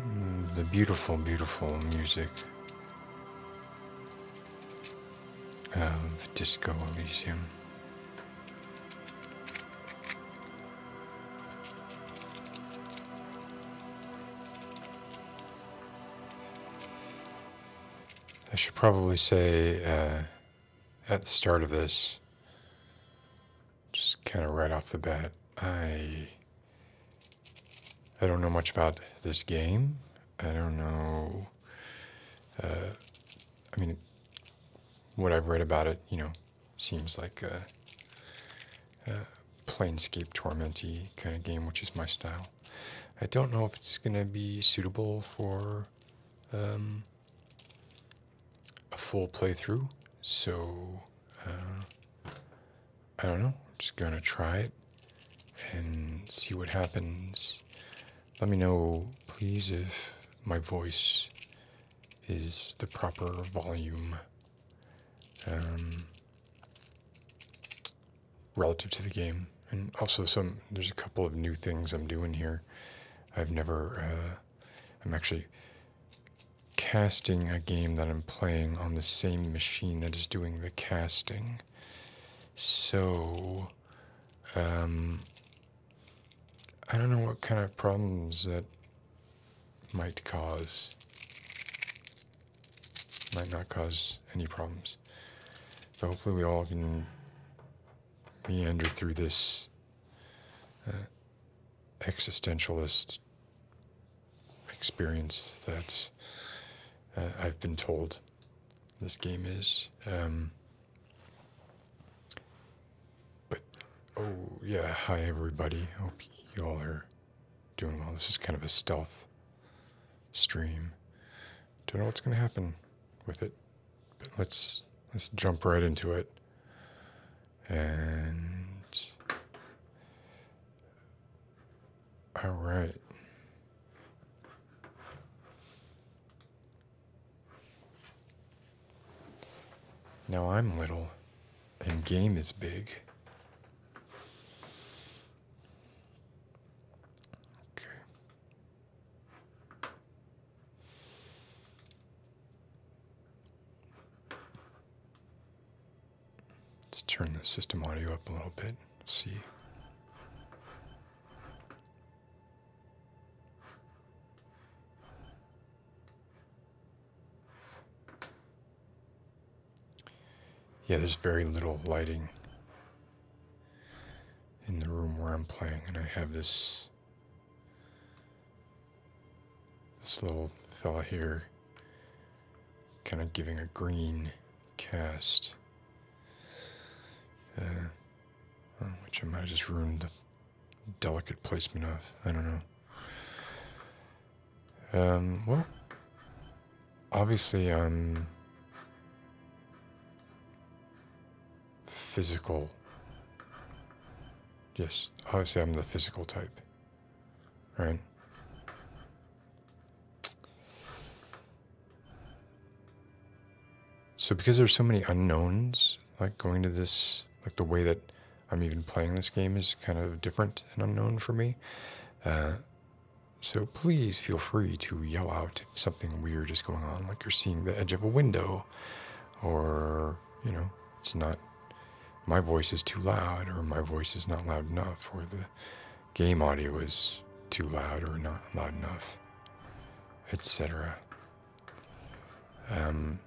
Mm, the beautiful, beautiful music of Disco Elysium. I should probably say uh, at the start of this just kind of right off the bat, I I don't know much about this game. I don't know. Uh, I mean, what I've read about it, you know, seems like a, a Planescape Tormenty kind of game, which is my style. I don't know if it's going to be suitable for um, a full playthrough, so uh, I don't know. just gonna try it and see what happens. Let me know, please, if my voice is the proper volume um, relative to the game. And also, some there's a couple of new things I'm doing here. I've never. Uh, I'm actually casting a game that I'm playing on the same machine that is doing the casting. So, um, I don't know what kind of problems that might cause. Might not cause any problems. But hopefully we all can meander through this uh, existentialist experience that uh, I've been told this game is. Um, but, oh, yeah, hi everybody. Hope you all are doing well. This is kind of a stealth stream. Don't know what's going to happen with it, but let's let's jump right into it. And all right. Now I'm little and game is big. Okay. Let's turn the system audio up a little bit. See. Yeah, there's very little lighting in the room where I'm playing, and I have this this little fella here kind of giving a green cast. Uh, which I might have just ruined the delicate placement of. I don't know. Um, well, obviously I'm um, physical. Yes, obviously I'm the physical type. Right. So because there's so many unknowns, like going to this, like the way that I'm even playing this game is kind of different and unknown for me. Uh, so please feel free to yell out if something weird is going on, like you're seeing the edge of a window or, you know, it's not my voice is too loud, or my voice is not loud enough, or the game audio is too loud or not loud enough, etc. Um,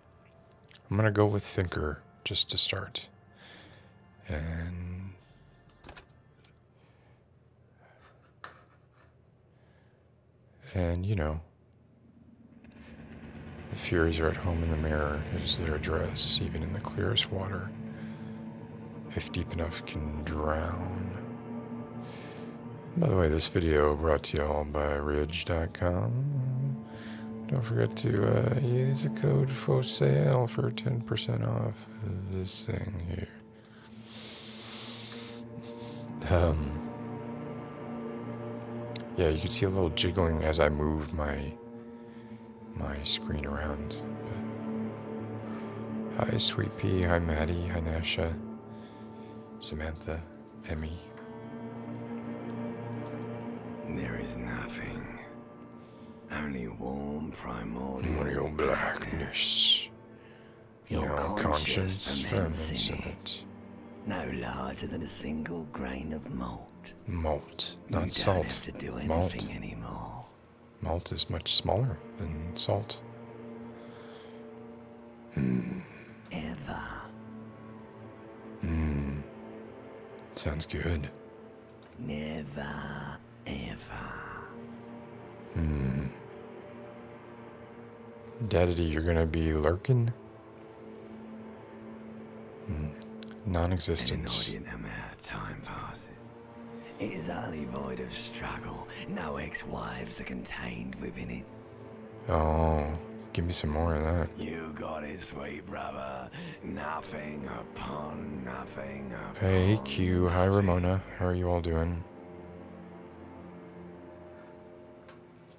I'm gonna go with Thinker just to start, and and you know, the Furies are at home in the mirror. It is their address even in the clearest water. If deep enough, can drown. By the way, this video brought to y'all by Ridge.com. Don't forget to uh, use the code for sale for 10% off this thing here. Um. Yeah, you can see a little jiggling as I move my my screen around. hi, Sweet Pea. Hi, Maddie. Hi, Nasha. Samantha. Emmy. There is nothing. Only warm primordial, blackness. Your, Your conscience, conscience ferments No larger than a single grain of malt. Malt, not salt. malt. is much smaller than salt. Hmm. Ever. Hmm. Sounds good. Never, ever. Hmm. Daddy, you're gonna be lurking? Mm. Non-existence. An inordinate amount of time passes. It is utterly void of struggle. No ex-wives are contained within it. Oh, give me some more of that. You got it, sweet brother. Nothing upon nothing upon Hey, Q. Hi, Ramona. How are you all doing?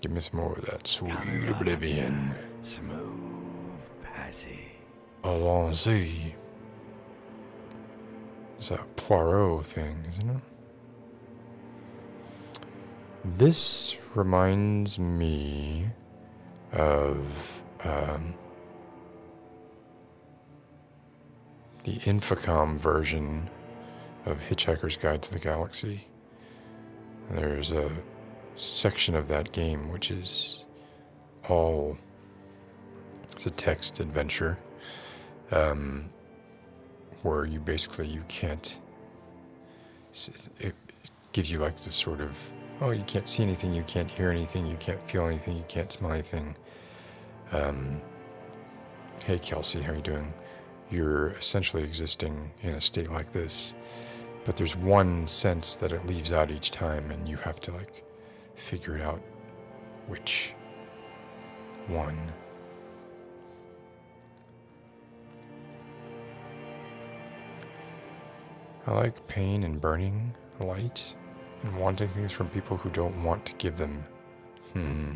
Give me some more of that sweet oblivion. Smooth passage. Allons-y. It's that Poirot thing, isn't it? This reminds me of um, the Infocom version of Hitchhiker's Guide to the Galaxy. There's a section of that game which is all it's a text adventure um, where you basically you can't it gives you like this sort of oh you can't see anything you can't hear anything you can't feel anything you can't smell anything um, hey kelsey how are you doing you're essentially existing in a state like this but there's one sense that it leaves out each time, and you have to like figure it out which one. I like pain and burning light and wanting things from people who don't want to give them. Hmm.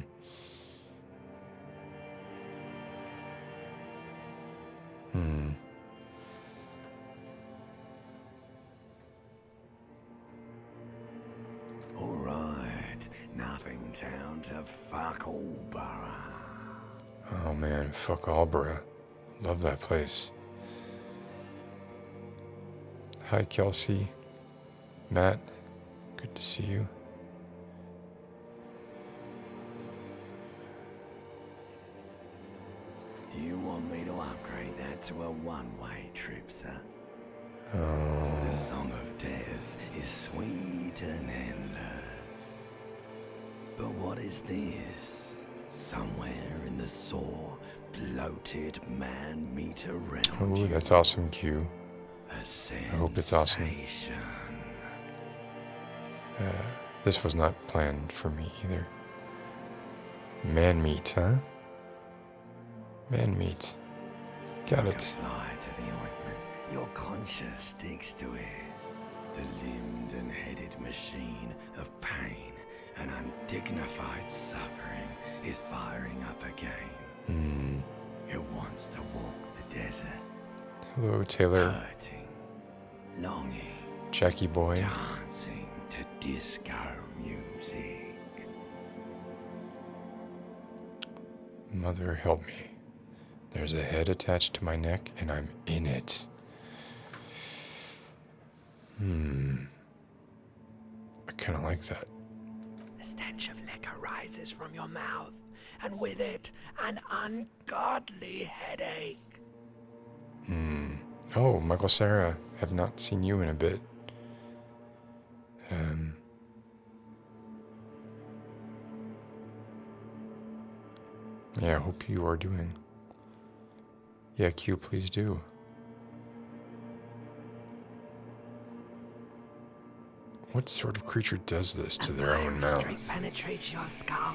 Hmm. All right, nothing to fuck Allborough. Oh man, fuck Allborough. Love that place. Hi, Kelsey. Matt, good to see you. Do you want me to upgrade that to a one-way trip, sir? Oh. The Song of Death is sweet and endless. But what is this? Somewhere in the sore, bloated man-meter realm. Oh, that's awesome, Q. I hope it's awesome. Uh, this was not planned for me either. Man meat, huh? Man meat. Got it. Your conscience stinks to it. The limbed and headed machine of pain and undignified suffering is firing up again. Hmm. Hello, Taylor longing, Jackie boy, dancing to disco music. Mother, help me. There's a head attached to my neck, and I'm in it. Hmm. I kind of like that. The stench of liquor rises from your mouth, and with it, an ungodly headache. Hmm. Oh, Michael Sarah. Have not seen you in a bit. Um, yeah, I hope you are doing. Yeah, Q, please do. What sort of creature does this to their own mouth? It penetrates your skull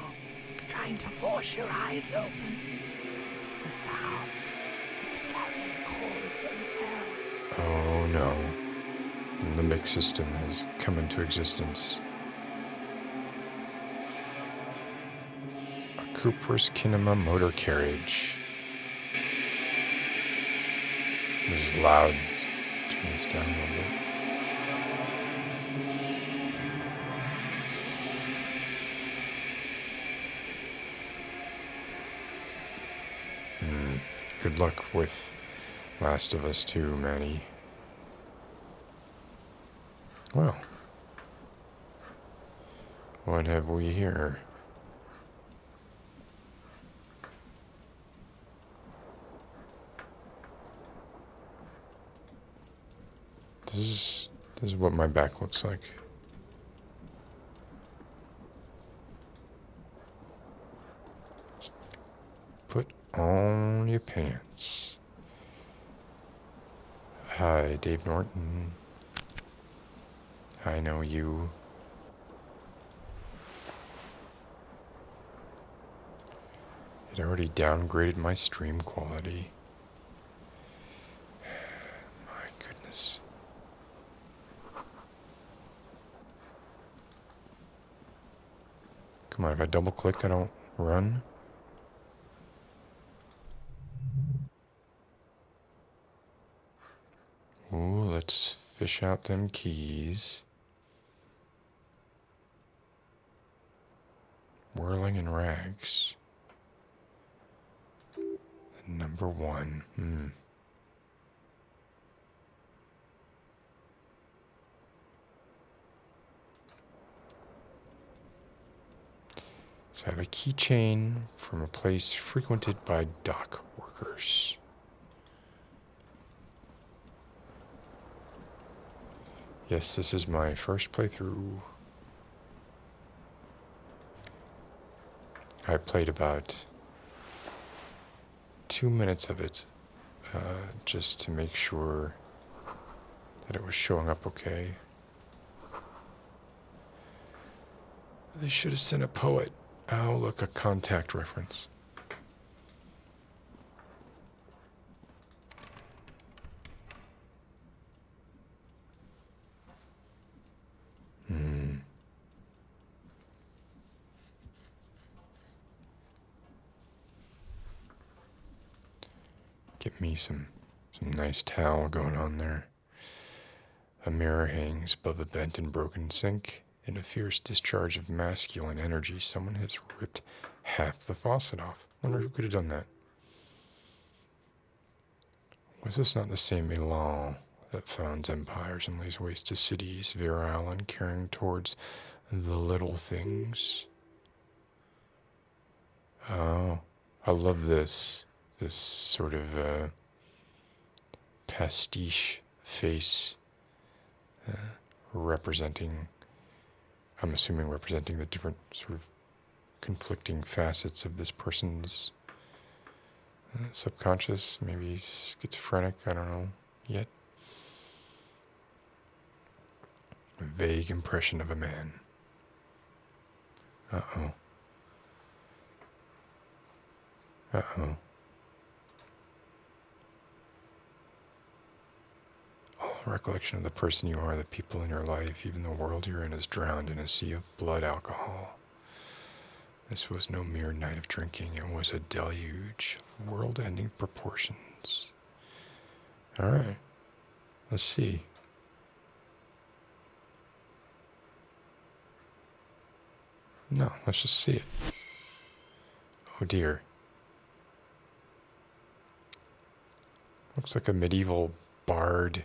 trying to force your eyes open. It's a sound, a clarion call from hell. Oh no. The mixed system has come into existence. A Cooper's Kinema motor carriage. This is loud. Turn this down a little bit. Uh, good luck with Last of Us too, Manny. Well. What have we here? This is, this is what my back looks like. put on your pants. Hi, Dave Norton. I know you. It already downgraded my stream quality. My goodness. Come on, if I double click, I don't run. Ooh, let's fish out them keys. Whirling in rags. Number one. Hmm. So I have a keychain from a place frequented by dock workers. Yes, this is my first playthrough. I played about two minutes of it uh, just to make sure that it was showing up okay. They should have sent a poet. Oh, look, a contact reference. Hmm. Get me some some nice towel going on there. A mirror hangs above a bent and broken sink. In a fierce discharge of masculine energy, someone has ripped half the faucet off. Wonder who could have done that. Was this not the same Milan that founds empires and lays waste to cities, virile and caring towards the little things? Oh, I love this. This sort of uh, pastiche face uh, representing, I'm assuming representing the different sort of conflicting facets of this person's uh, subconscious, maybe schizophrenic, I don't know yet. A vague impression of a man. Uh oh. Uh oh. All recollection of the person you are, the people in your life, even the world you're in, is drowned in a sea of blood alcohol. This was no mere night of drinking, it was a deluge of world ending proportions. Alright, let's see. No, let's just see it. Oh dear. Looks like a medieval bard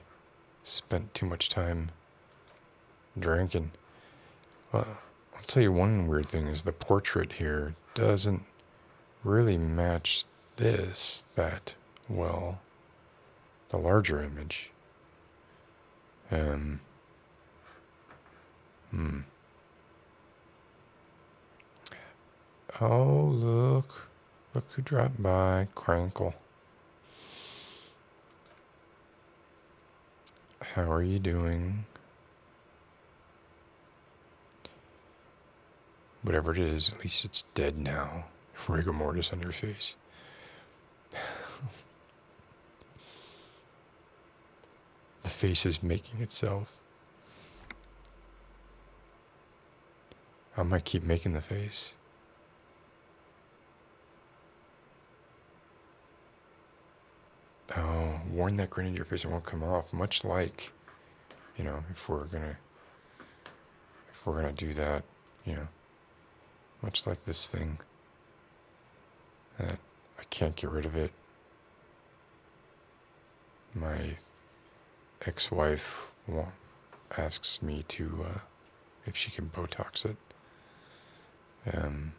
spent too much time drinking. Well, I'll tell you one weird thing is the portrait here doesn't really match this that well. The larger image. Um. Hmm. Oh, look. Look who dropped by, Crankle. How are you doing? Whatever it is, at least it's dead now. Rigor mortis on your face. the face is making itself. I might keep making the face. Oh, warn that grin in your face, it won't come off. Much like, you know, if we're gonna, if we're gonna do that, you know, much like this thing that I can't get rid of it. My ex-wife want, asks me to uh, if she can Botox it. Um,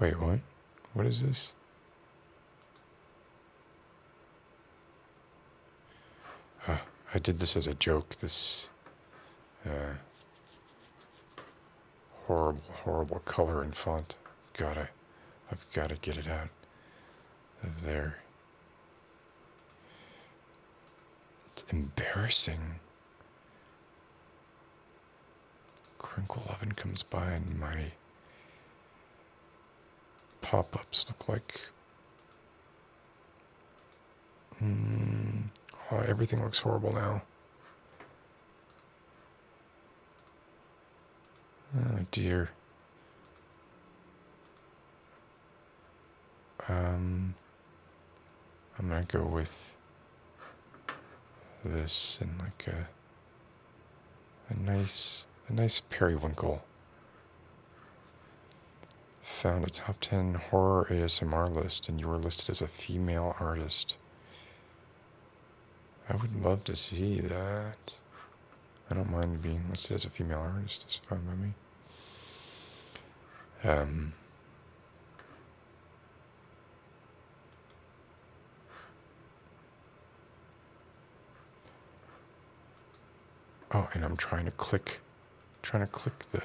wait, what? What is this? Ah, I did this as a joke. This yeah. Horrible, horrible color and font. Gotta, I've gotta get it out of there. It's embarrassing. Crinkle Oven comes by and my pop-ups look like... Mm, everything looks horrible now. Oh dear. Um, I'm gonna go with this and like a a nice a nice periwinkle. Found a top ten horror ASMR list and you were listed as a female artist. I would love to see that. I don't mind being listed as a female artist. It's fine by me. Um, oh, and I'm trying to click, trying to click the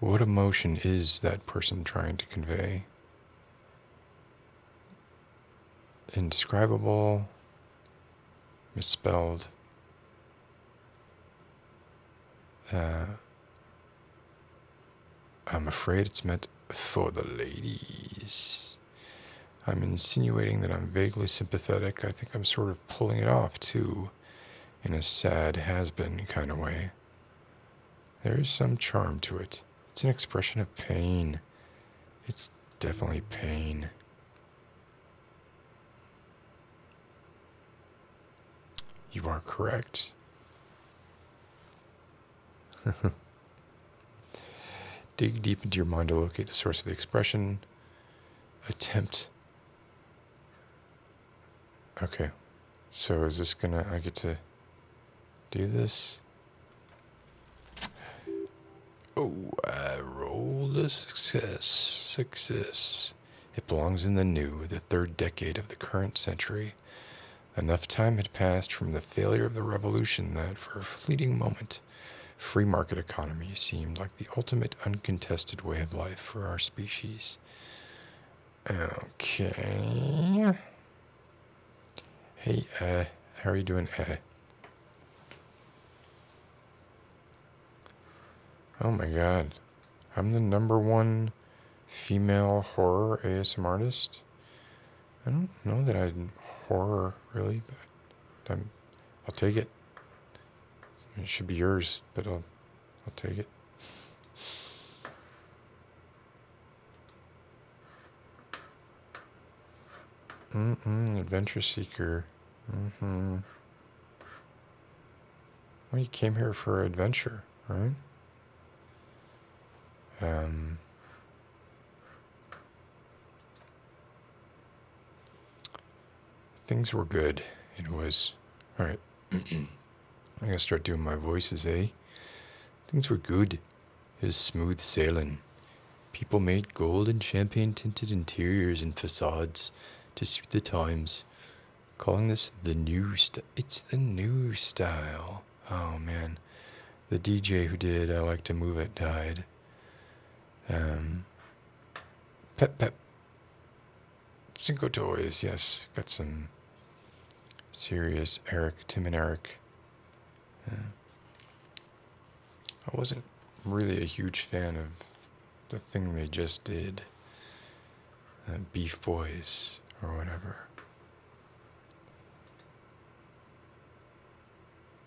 what emotion is that person trying to convey? Indescribable. misspelled. Uh, I'm afraid it's meant for the ladies. I'm insinuating that I'm vaguely sympathetic. I think I'm sort of pulling it off, too, in a sad has been kind of way. There is some charm to it. It's an expression of pain. It's definitely pain. You are correct. Dig deep into your mind to locate the source of the expression. Attempt. Okay. So is this gonna, I get to do this? Oh, I rolled a success. Success. It belongs in the new, the third decade of the current century. Enough time had passed from the failure of the revolution that, for a fleeting moment, free market economy seemed like the ultimate uncontested way of life for our species. Okay. Hey, uh, how are you doing, uh? Oh my god. I'm the number one female horror ASM artist. I don't know that I'm horror, really, but I'm I'll take it. It should be yours, but I'll, I'll take it. Mm-mm, Adventure Seeker. Mm-hmm. Well, you came here for adventure, right? Um, Things were good. It was. Alright. I'm gonna start doing my voices, eh? Things were good. It was smooth sailing. People made gold and champagne tinted interiors and facades to suit the times. Calling this the new style. It's the new style. Oh man. The DJ who did I Like to Move It died. Um, pep pep. Cinco Toys, yes. Got some serious Eric, Tim and Eric. I wasn't really a huge fan of the thing they just did. Uh, Beef Boys or whatever.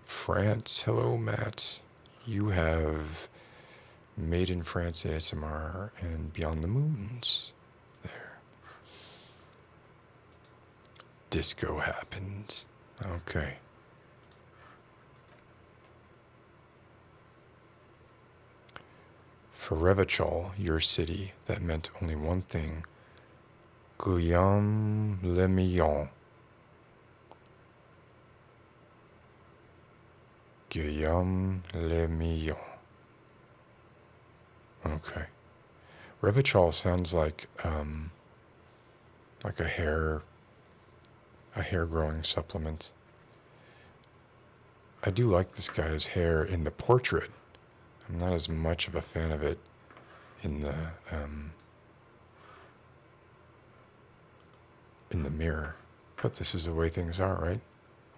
France. Hello, Matt. You have Made in France ASMR and Beyond the Moons there. Disco happens. Okay. For Revachol, your city, that meant only one thing. Guillaume Le Millon. Guillaume Lemillon. Okay. Revachol sounds like um, like a hair a hair growing supplement. I do like this guy's hair in the portrait. I'm not as much of a fan of it in the um, in the mirror. But this is the way things are, right?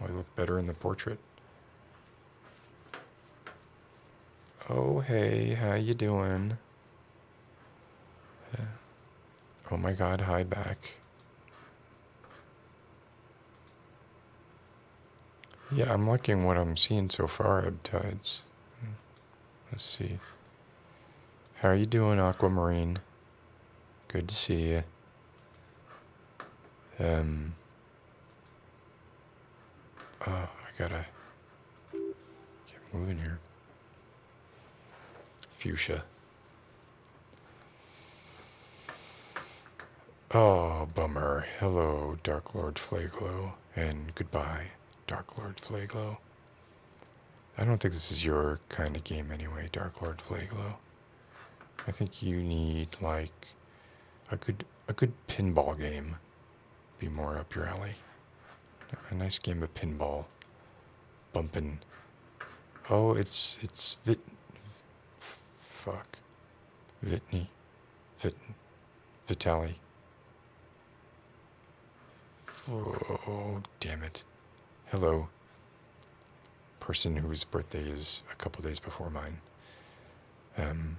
Oh, I look better in the portrait. Oh, hey, how you doing? Oh my god, hi back. Yeah, I'm liking what I'm seeing so far, tides. Hmm. Let's see. How are you doing, Aquamarine? Good to see you. Um. Oh, I gotta get moving here. Fuchsia. Oh, bummer. Hello, Dark Lord Flaglo, and goodbye, Dark Lord Flaglo. I don't think this is your kind of game anyway, Dark Lord Flaglo. I think you need like a good a good pinball game. Be more up your alley. A nice game of pinball. Bumping. Oh, it's it's Vit. Fuck. Vitney. Vit. Vitali. Oh, damn it. Hello. Person whose birthday is a couple days before mine. Um,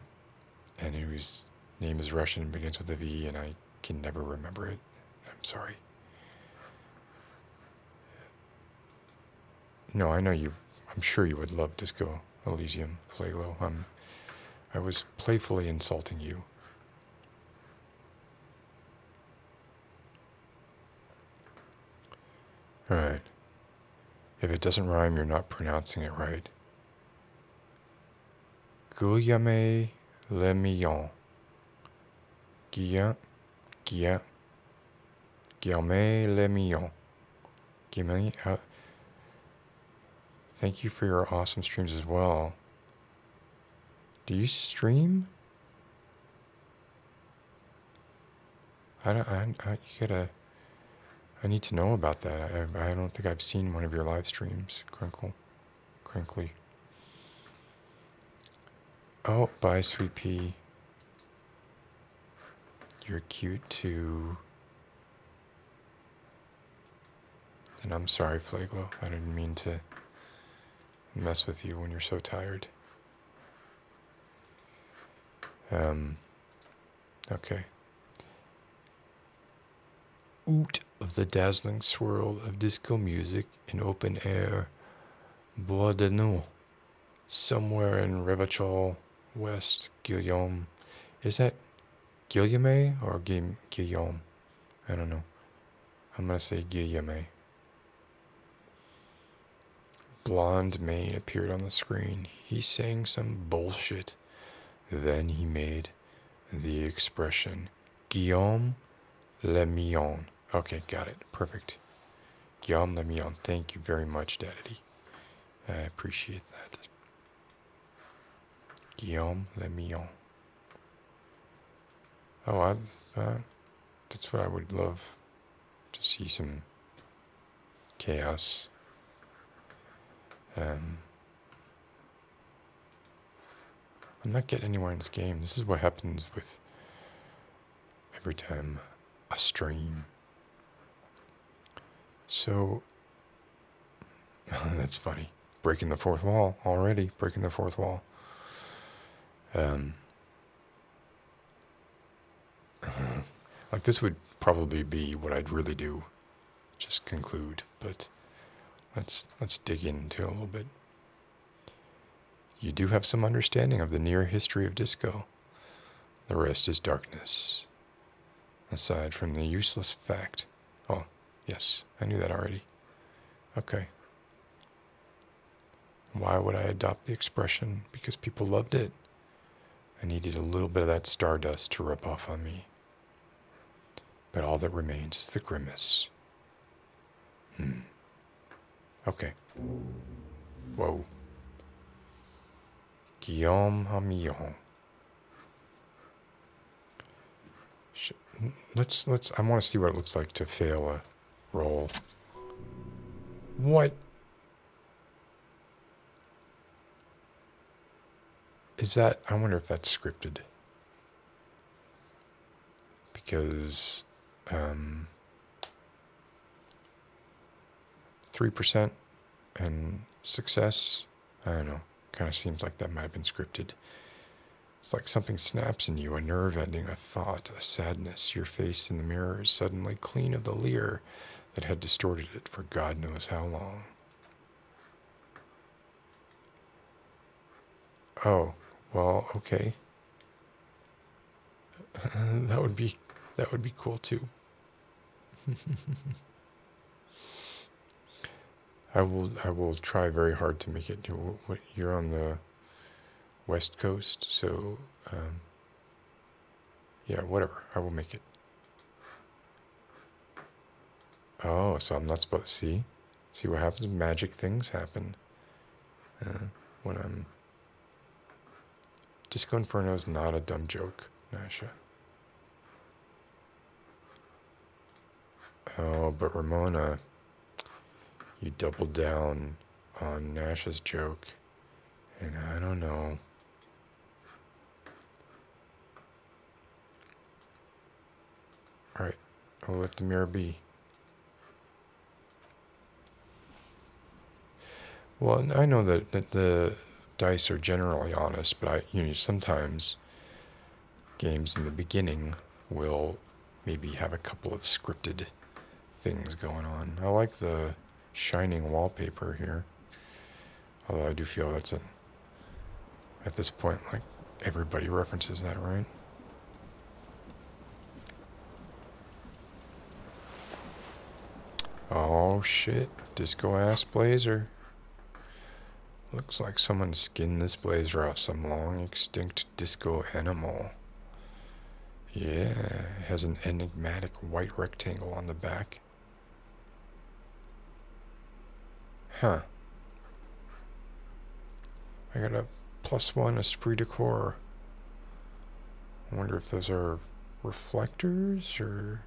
and whose name is Russian, begins with a V, and I can never remember it. I'm sorry. No, I know you. I'm sure you would love Disco Elysium, Flaglo. Um, I was playfully insulting you. All right. If it doesn't rhyme, you're not pronouncing it right. Guillaume Le Millon. Guillaume, Guillaume, Guillaume Le Millon. Guillaume, uh, thank you for your awesome streams as well. Do you stream? I don't, I, you gotta, I need to know about that. I, I don't think I've seen one of your live streams, Crinkle, Crinkly. Oh, bye, Sweet Pea. You're cute too. And I'm sorry, Flaglo. I didn't mean to mess with you when you're so tired. Um, okay. Out of the dazzling swirl of disco music in open air, Bois de Nous, somewhere in Rivac'hol, West Guillaume. Is that Guillaume or Guillaume? I don't know. I'm going to say Guillaume. Blonde man appeared on the screen. He sang some bullshit. Then he made the expression Guillaume Le Lemillon. Okay, got it. Perfect. Guillaume Le Lemillon. Thank you very much, Daddy. I appreciate that. Guillaume Le Lemillon. Oh, uh, that's what I would love to see some chaos. Um, I'm not getting anywhere in this game. This is what happens with every time I stream. So, that's funny. Breaking the fourth wall already. Breaking the fourth wall. Um, uh-huh. like this would probably be what I'd really do, just conclude. But let's let's dig into a little bit. You do have some understanding of the near history of disco. The rest is darkness. Aside from the useless fact. Oh, yes, I knew that already. Okay. Why would I adopt the expression? Because people loved it. I needed a little bit of that stardust to rub off on me. But all that remains is the grimace. Hmm. Okay. Whoa. Guillaume Hamillon. Let's let's. I want to see what it looks like to fail a roll. What is that? I wonder if that's scripted. Because um, 3% and success, I don't know, kind of seems like that might have been scripted. It's like something snaps in you, a nerve ending, a thought, a sadness. Your face in the mirror is suddenly clean of the leer that had distorted it for God knows how long. Oh, well, okay. that would be that would be cool too. I will I will try very hard to make it. You're on the west coast, so um, yeah, whatever. I will make it. Oh, so I'm not supposed to see. See what happens? Magic things happen uh, when I'm. Disco Inferno is not a dumb joke, Nasha. Oh, but Ramona you doubled down on Nash's joke, and I don't know. Alright, I'll let the mirror be. Well, I know that, that the dice are generally honest, but I, you know, sometimes games in the beginning will maybe have a couple of scripted things going on. I like the shining wallpaper here. Although I do feel that's a, at this point, like everybody references that, right? Oh shit, disco ass blazer. Looks like someone skinned this blazer off some long extinct disco animal. Yeah, it has an enigmatic white rectangle on the back. Huh. I got a plus one esprit de corps. I wonder if those are reflectors or...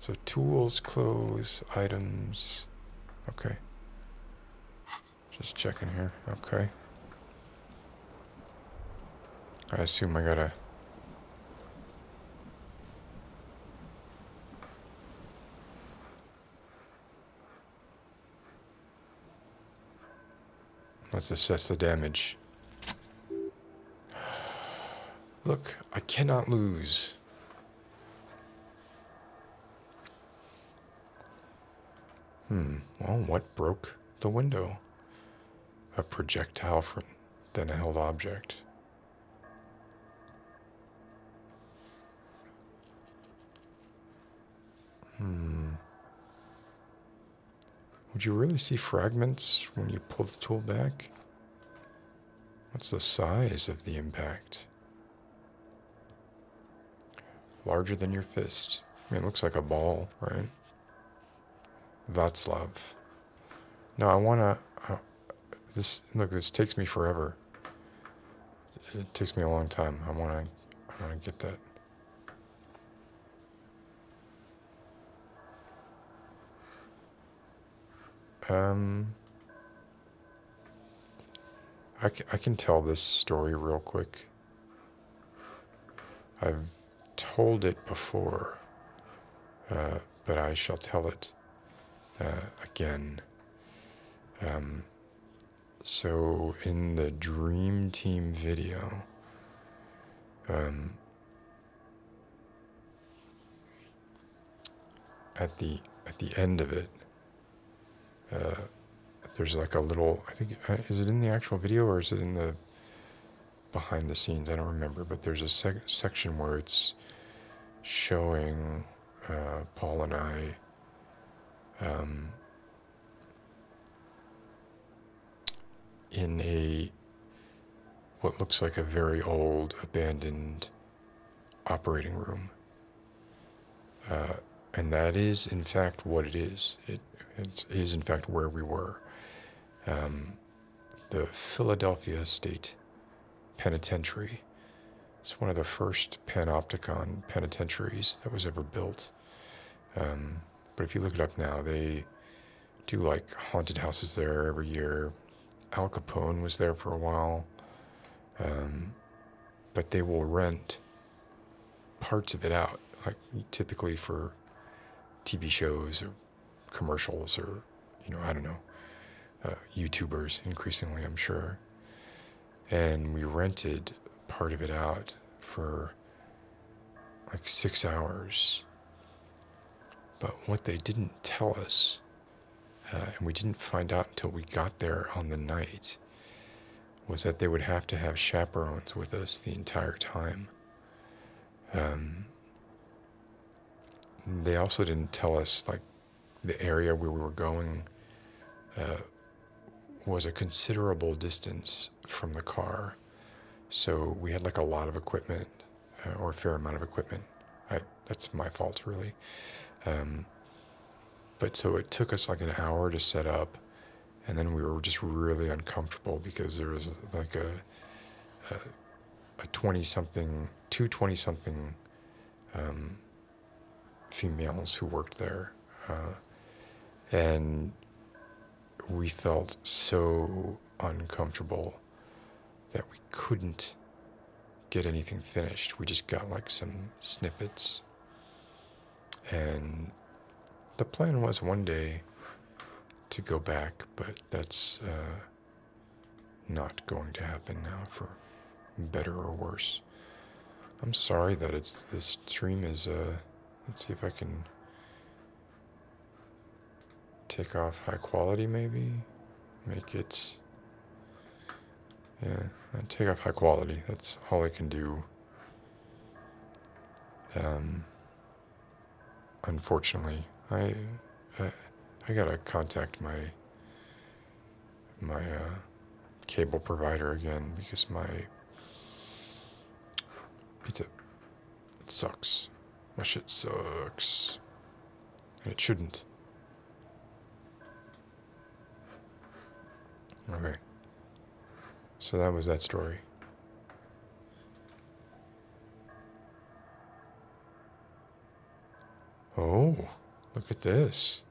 So tools, clothes, items. Okay. Just checking here. Okay. I assume I gotta... Let's assess the damage. Look, I cannot lose. Hmm, well, what broke the window? A projectile from then a held object. Hmm. Would you really see fragments when you pull the tool back? What's the size of the impact? Larger than your fist. it looks like a ball, right? That's love. No, I want to... Uh, this Look, this takes me forever. It takes me a long time. I want to I want to get that. Um, I, I can tell this story real quick. I've told it before, uh, but I shall tell it uh, again. Um, so, in the Dream Team video, um, at the at the end of it, uh, there's like a little, I think, uh, is it in the actual video or is it in the behind the scenes? I don't remember, but there's a sec section where it's showing uh, Paul and I um, in a what looks like a very old abandoned operating room. Uh, and that is, in fact, what it is. It it is in fact where we were. Um, the Philadelphia State Penitentiary. It's one of the first panopticon penitentiaries that was ever built. Um, but if you look it up now, they do like haunted houses there every year. Al Capone was there for a while. Um, but they will rent parts of it out, like typically for TV shows or commercials or, you know, I don't know, uh, YouTubers increasingly, I'm sure. And we rented part of it out for like six hours. But what they didn't tell us, uh, and we didn't find out until we got there on the night, was that they would have to have chaperones with us the entire time. Um, they also didn't tell us like the area where we were going uh, was a considerable distance from the car. So we had like a lot of equipment uh, or a fair amount of equipment. that's my fault, really. Um, but so it took us like an hour to set up and then we were just really uncomfortable because there was like a a, 20 something two 20 something um, females who worked there uh, and we felt so uncomfortable that we couldn't get anything finished we just got like some snippets and the plan was one day to go back, but that's uh, not going to happen now for better or worse. I'm sorry that it's this stream is. Uh, let's see if I can take off high quality maybe. Make it. Yeah, take off high quality. That's all I can do. Um, unfortunately, I, I, gotta contact my, my uh, cable provider again because my pizza it sucks. My shit sucks, and it shouldn't. Okay. So that was that story. Oh, look at this.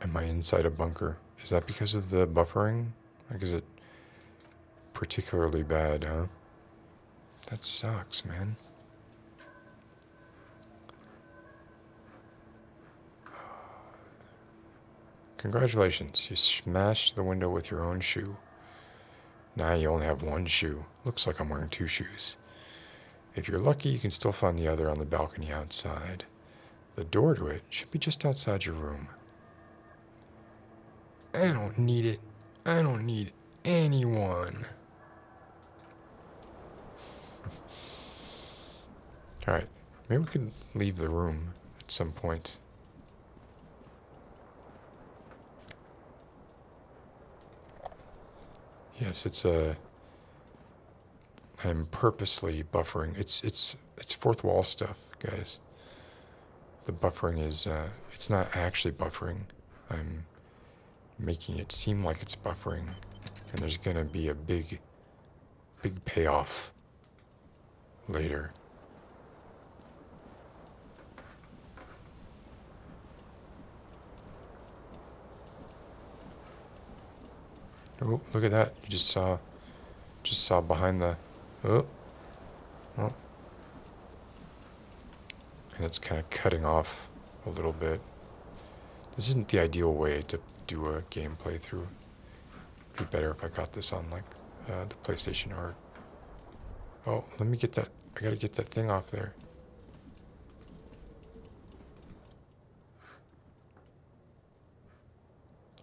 Am I inside a bunker? Is that because of the buffering? Like, is it particularly bad, huh? That sucks, man. Congratulations, you smashed the window with your own shoe. Now you only have one shoe. Looks like I'm wearing two shoes. If you're lucky, you can still find the other on the balcony outside. The door to it should be just outside your room. I don't need it. I don't need anyone. Alright. Maybe we could leave the room at some point. Yes, it's a... Uh, I'm purposely buffering. It's it's it's fourth wall stuff, guys. The buffering is uh, it's not actually buffering. I'm making it seem like it's buffering. And there's gonna be a big, big payoff later. Oh, look at that. You just saw, just saw behind the, oh, oh. And it's kind of cutting off a little bit. This isn't the ideal way to do a gameplay through. It'd be better if I got this on like uh, the PlayStation or... Oh, let me get that... I gotta get that thing off there.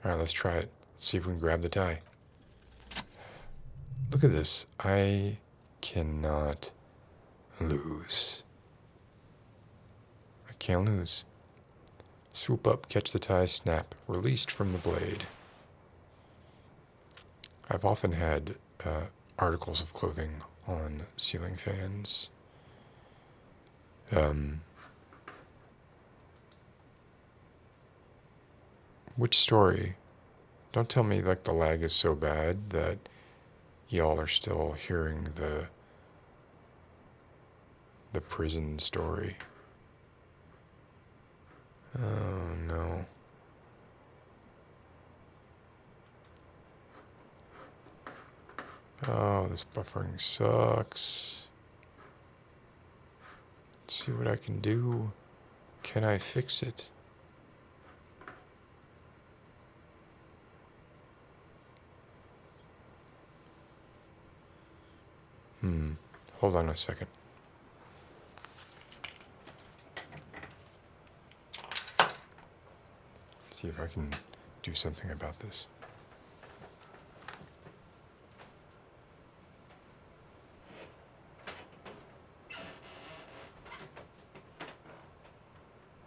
Alright, let's try it. see if we can grab the tie. Look at this. I cannot lose. I can't lose. Swoop up, catch the tie, snap, released from the blade. I've often had uh, articles of clothing on ceiling fans. Um, which story? Don't tell me like the lag is so bad that y'all are still hearing the the prison story. Oh no. Oh, this buffering sucks. see what I can do. Can I fix it? Hmm. Hold on a 2nd see if I can do something about this.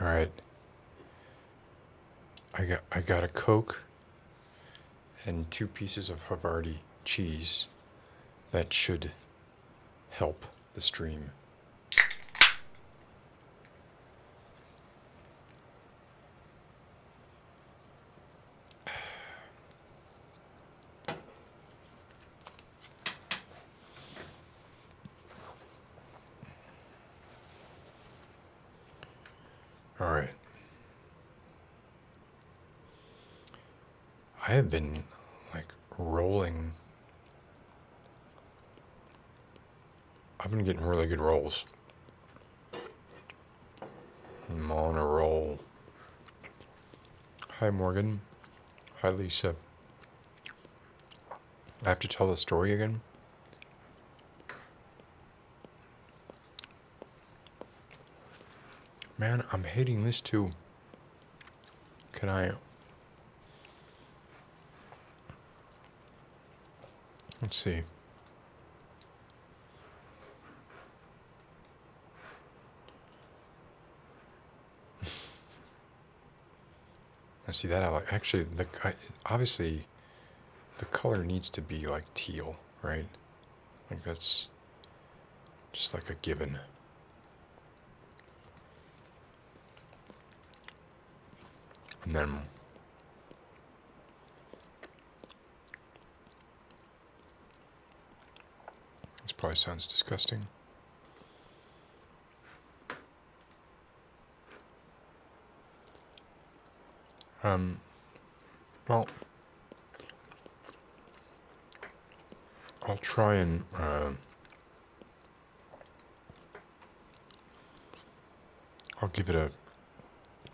All right. I got I got a Coke and two pieces of Havarti cheese. That should help the stream. All right. I have been like rolling. I've been getting really good rolls i Hi, Morgan. Hi, Lisa. I have to tell the story again. Man, I'm hating this too. Can I... Let's see. I see that. actually the obviously the color needs to be like teal, right? Like that's just like a given. And then this probably sounds disgusting. Um, well, I'll try and uh, I'll give it a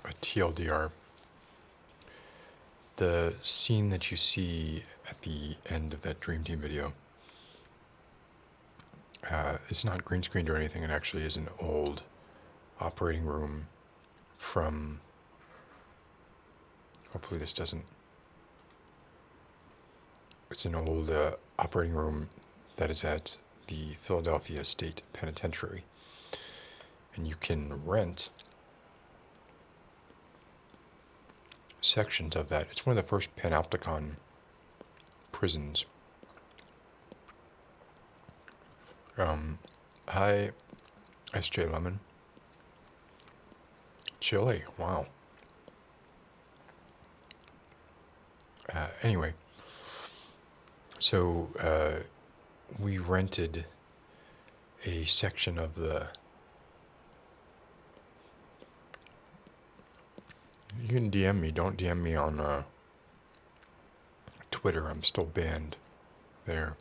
a TLDR the scene that you see at the end of that Dream Team video. Uh, it's not green screened or anything. It actually is an old operating room from. Hopefully, this doesn't. It's an old uh, operating room that is at the Philadelphia State Penitentiary and you can rent sections of that. It's one of the first Panopticon prisons. Um, hi, SJ Lemon. Chile, wow. Uh, anyway, so uh, we rented a section of the you can DM me. Don't DM me on uh, Twitter. I'm still banned there,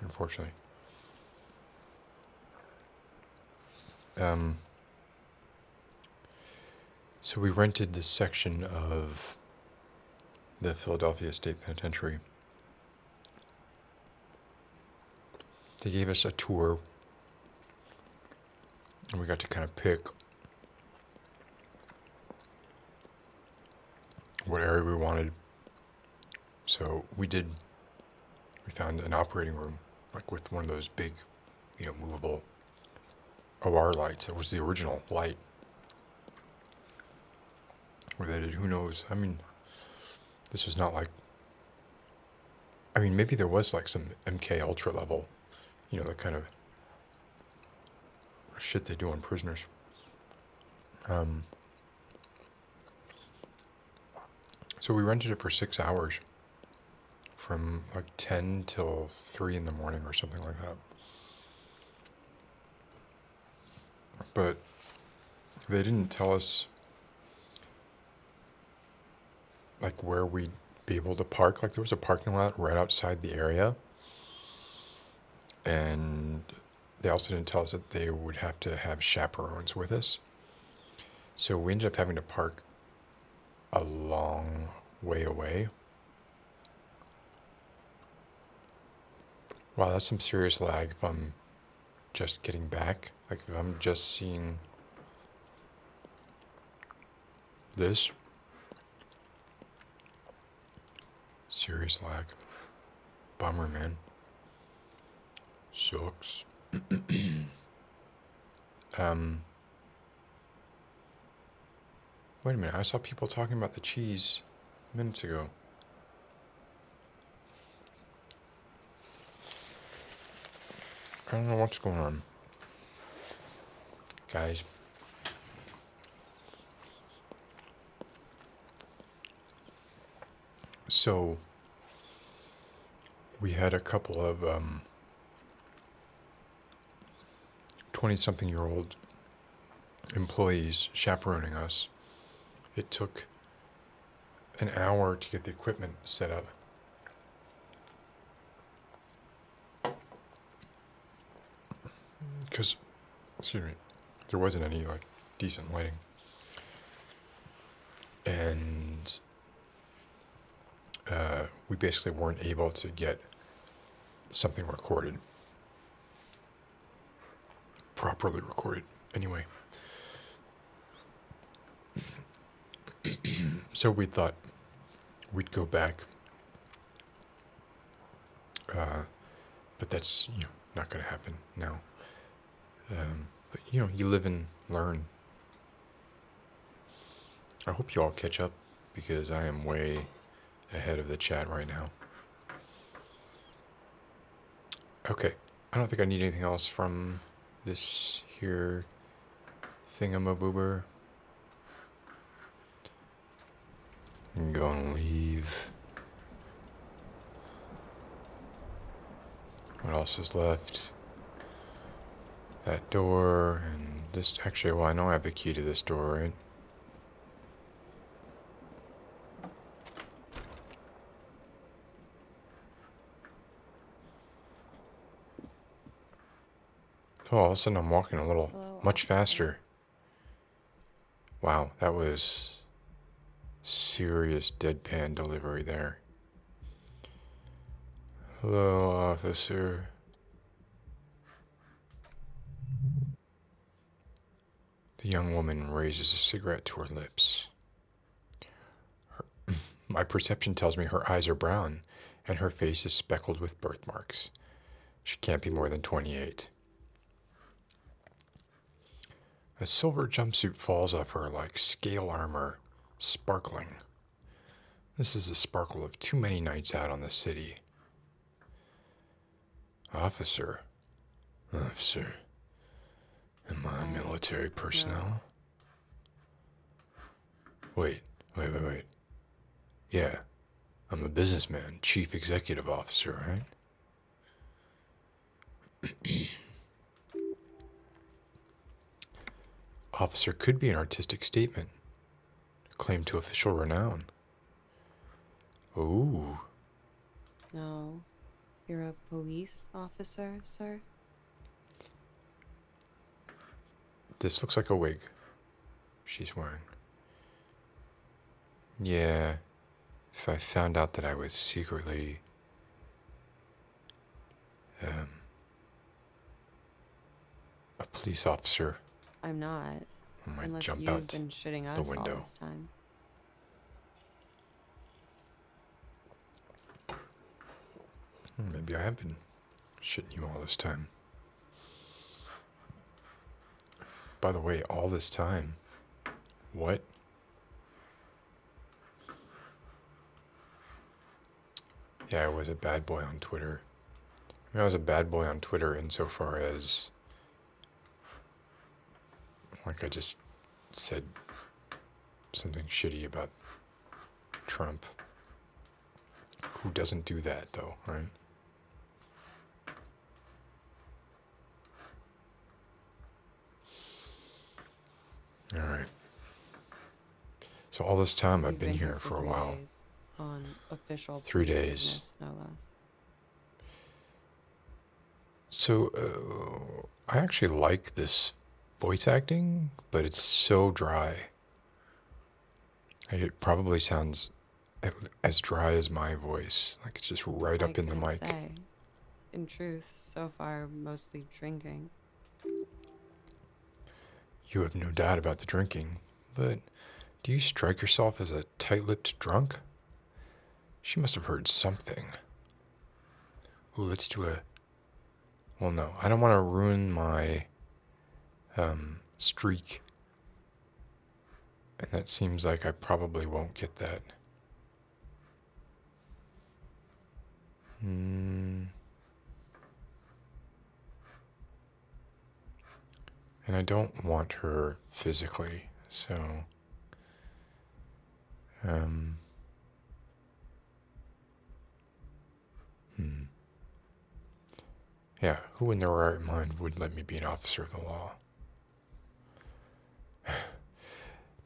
unfortunately. Um, so we rented this section of the Philadelphia State Penitentiary they gave us a tour, and we got to kind of pick what area we wanted. So we did, we found an operating room, like with one of those big, you know, movable OR lights. It was the original light. Who knows? I mean, this was not like. I mean, maybe there was like some MK Ultra level, you know, the kind of shit they do on prisoners. Um, so we rented it for six hours from like 10 till 3 in the morning or something like that. But they didn't tell us like where we'd be able to park. Like there was a parking lot right outside the area. And they also didn't tell us that they would have to have chaperones with us. So we ended up having to park a long way away. Wow, that's some serious lag if I'm just getting back, like I'm just seeing this, serious lag, bummer man, sucks. um, wait a minute, I saw people talking about the cheese minutes ago. I don't know what's going on. Guys. So, we had a couple of um, 20 something year old employees chaperoning us. It took an hour to get the equipment set up. Because, excuse me, there wasn't any like decent lighting. And uh, we basically weren't able to get something recorded properly recorded. Anyway. so we thought we'd go back. Uh, but that's you know, not going to happen now. Um, but you know, you live and learn. I hope you all catch up because I am way ahead of the chat right now. Okay, I don't think I need anything else from this here thingamaboober. I'm gonna leave. What else is left? That door and this. Actually, well, I know I have the key to this door, right? Oh, all of a sudden I'm walking a little much faster. Wow, that was serious deadpan delivery there. Hello, officer. The young woman raises a cigarette to her lips. my perception tells me her eyes are brown and her face is speckled with birthmarks. She can't be more than 28. A silver jumpsuit falls off her like scale armor, sparkling. This is the sparkle of too many nights out on the city. Officer? Officer? Am I military personnel? Wait, wait, wait, wait. Yeah, I'm a businessman, chief executive officer, right? officer could be an artistic statement, claim to official renown. Ooh. No, you're a police officer, sir? This looks like a wig she's wearing. Yeah, if I found out that I was secretly. Um, a police officer. I'm not. I might unless jump you've out been shitting us the window. all this time. Hmm, maybe I have been shitting you all this time. By the way, all this time. What? Yeah, I was a bad boy on Twitter. I, was a bad boy on Twitter insofar as like I just said something shitty about Trump. Who doesn't do that, though, right? All right. So all this time I've been, here, for a while. On official three days. So uh, I actually like this voice acting, but it's so dry. It probably sounds as dry as my voice. Like it's just right up in the mic. in truth, so far, mostly drinking. You have no doubt about the drinking, but do you strike yourself as a tight lipped drunk? She must have heard something. Oh, let's do a. Well, no, I don't want to ruin my um, streak. And that seems like I probably won't get that. Mm. And I don't want her physically, so um, hmm. Yeah, who in their right mind would let me be an officer of the law?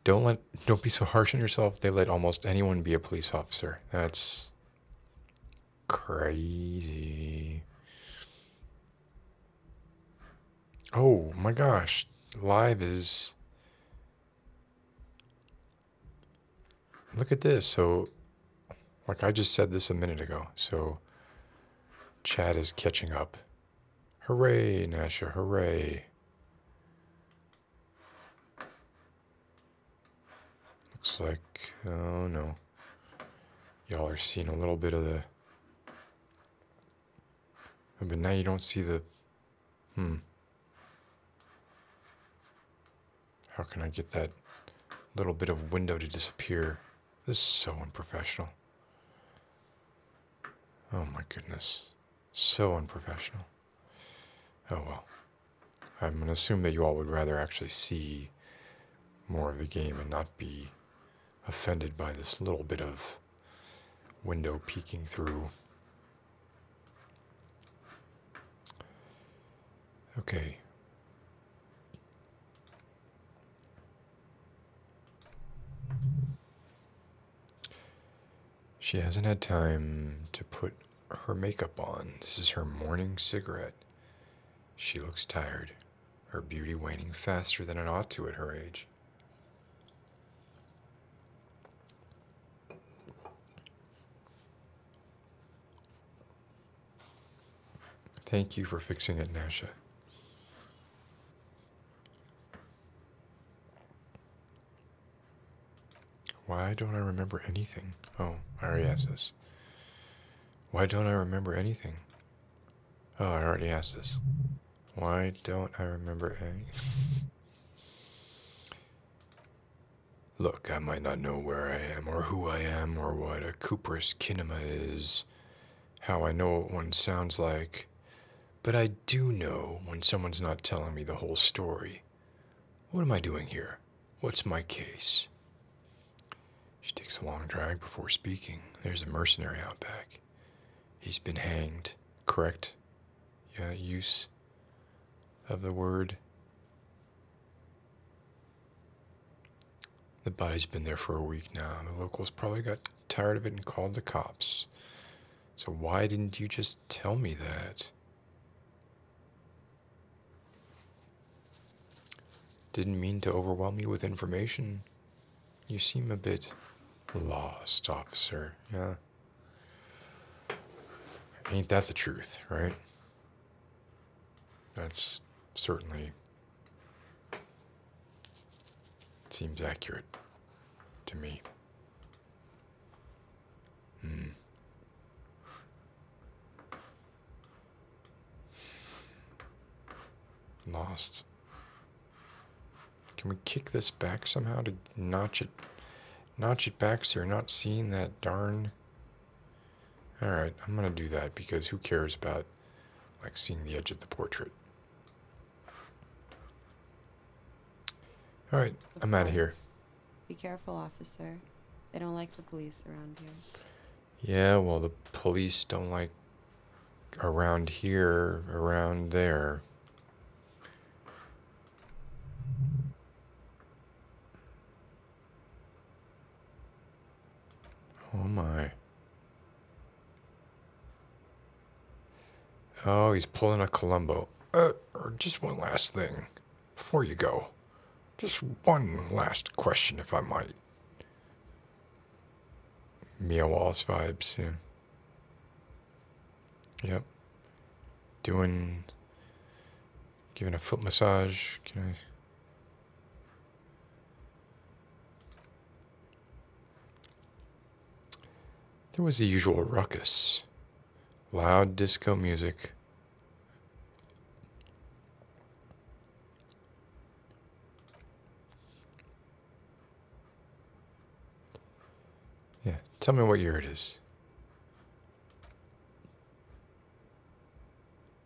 don't let don't be so harsh on yourself. They let almost anyone be a police officer. That's crazy. Oh my gosh, live is. Look at this. So, like I just said this a minute ago. So, Chad is catching up. Hooray, Nasha, hooray. Looks like, oh no. Y'all are seeing a little bit of the but now you don't see the... Hmm. How can I get that little bit of window to disappear? This is so unprofessional. Oh my goodness. So unprofessional. Oh well. I'm going to assume that you all would rather actually see more of the game and not be offended by this little bit of window peeking through. Okay. She hasn't had time to put her makeup on. This is her morning cigarette. She looks tired, her beauty waning faster than it ought to at her age. Thank you for fixing it, Nasha. Why don't I remember anything? Oh, I already asked this. Why don't I remember anything? Oh, I already asked this. Why don't I remember any? Look, I might not know where I am, or who I am, or what a Cooper's kinema is, how I know what one sounds like, but I do know when someone's not telling me the whole story. What am I doing here? What's my case? She takes a long drag before speaking. There's a mercenary out back. He's been hanged, correct? uh, use of the word. The body's been there for a week now. The locals probably got tired of it and called the cops. So why didn't you just tell me that? Didn't mean to overwhelm you with information. You seem a bit lost, officer. Yeah. Ain't that the truth, right? That's certainly seems accurate to me. Hmm. Lost. Can we kick this back somehow to notch it, notch it back so you're not seeing that darn... Alright, I'm going to do that because who cares about like seeing the edge of the portrait. Alright, I'm out of here. Be careful, officer. They don't like the police around here. Yeah, well, the police don't like around here, around there. Oh my. Oh, he's pulling a Columbo. Uh, just one last thing before you go. Just one last question, if I might. Mia Wallace vibes, yeah. Yep. Doing, giving a foot massage. Can I? There was the usual ruckus. Loud disco music. Yeah, tell me what year it is.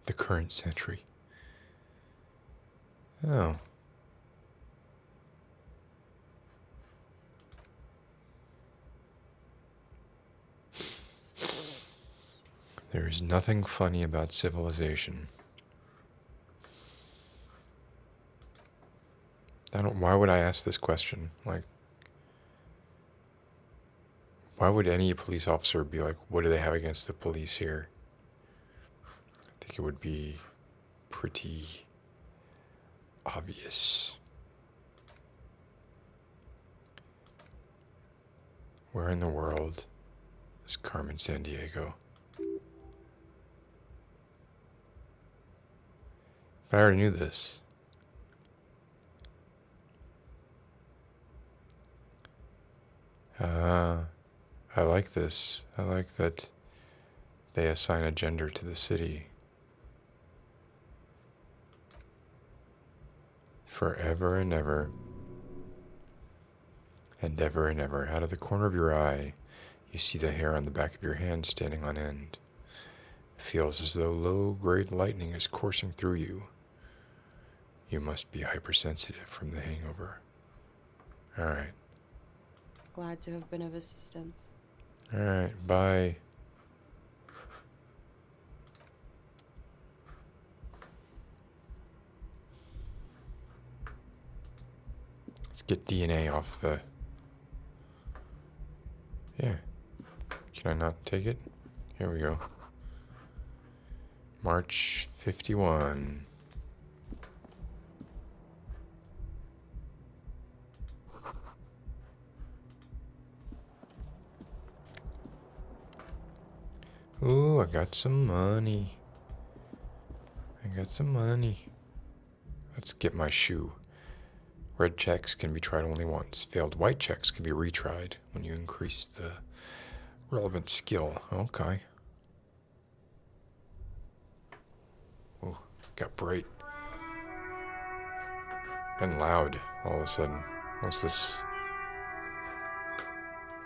The current century. Oh. There is nothing funny about civilization. I don't. Why would I ask this question? Like, why would any police officer be like, "What do they have against the police here?" I think it would be pretty obvious. Where in the world is Carmen San Diego? But I already knew this. Ah, I like this. I like that they assign a gender to the city. Forever and ever. And ever and ever. Out of the corner of your eye, you see the hair on the back of your hand standing on end feels as though low grade lightning is coursing through you. You must be hypersensitive from the hangover. All right. Glad to have been of assistance. All right, bye. Let's get DNA off the yeah. Can I not take it? Here we go. March 51. Ooh, I got some money. I got some money. Let's get my shoe. Red checks can be tried only once. Failed white checks can be retried when you increase the relevant skill. Okay. Ooh, got bright. And loud all of a sudden. What's this?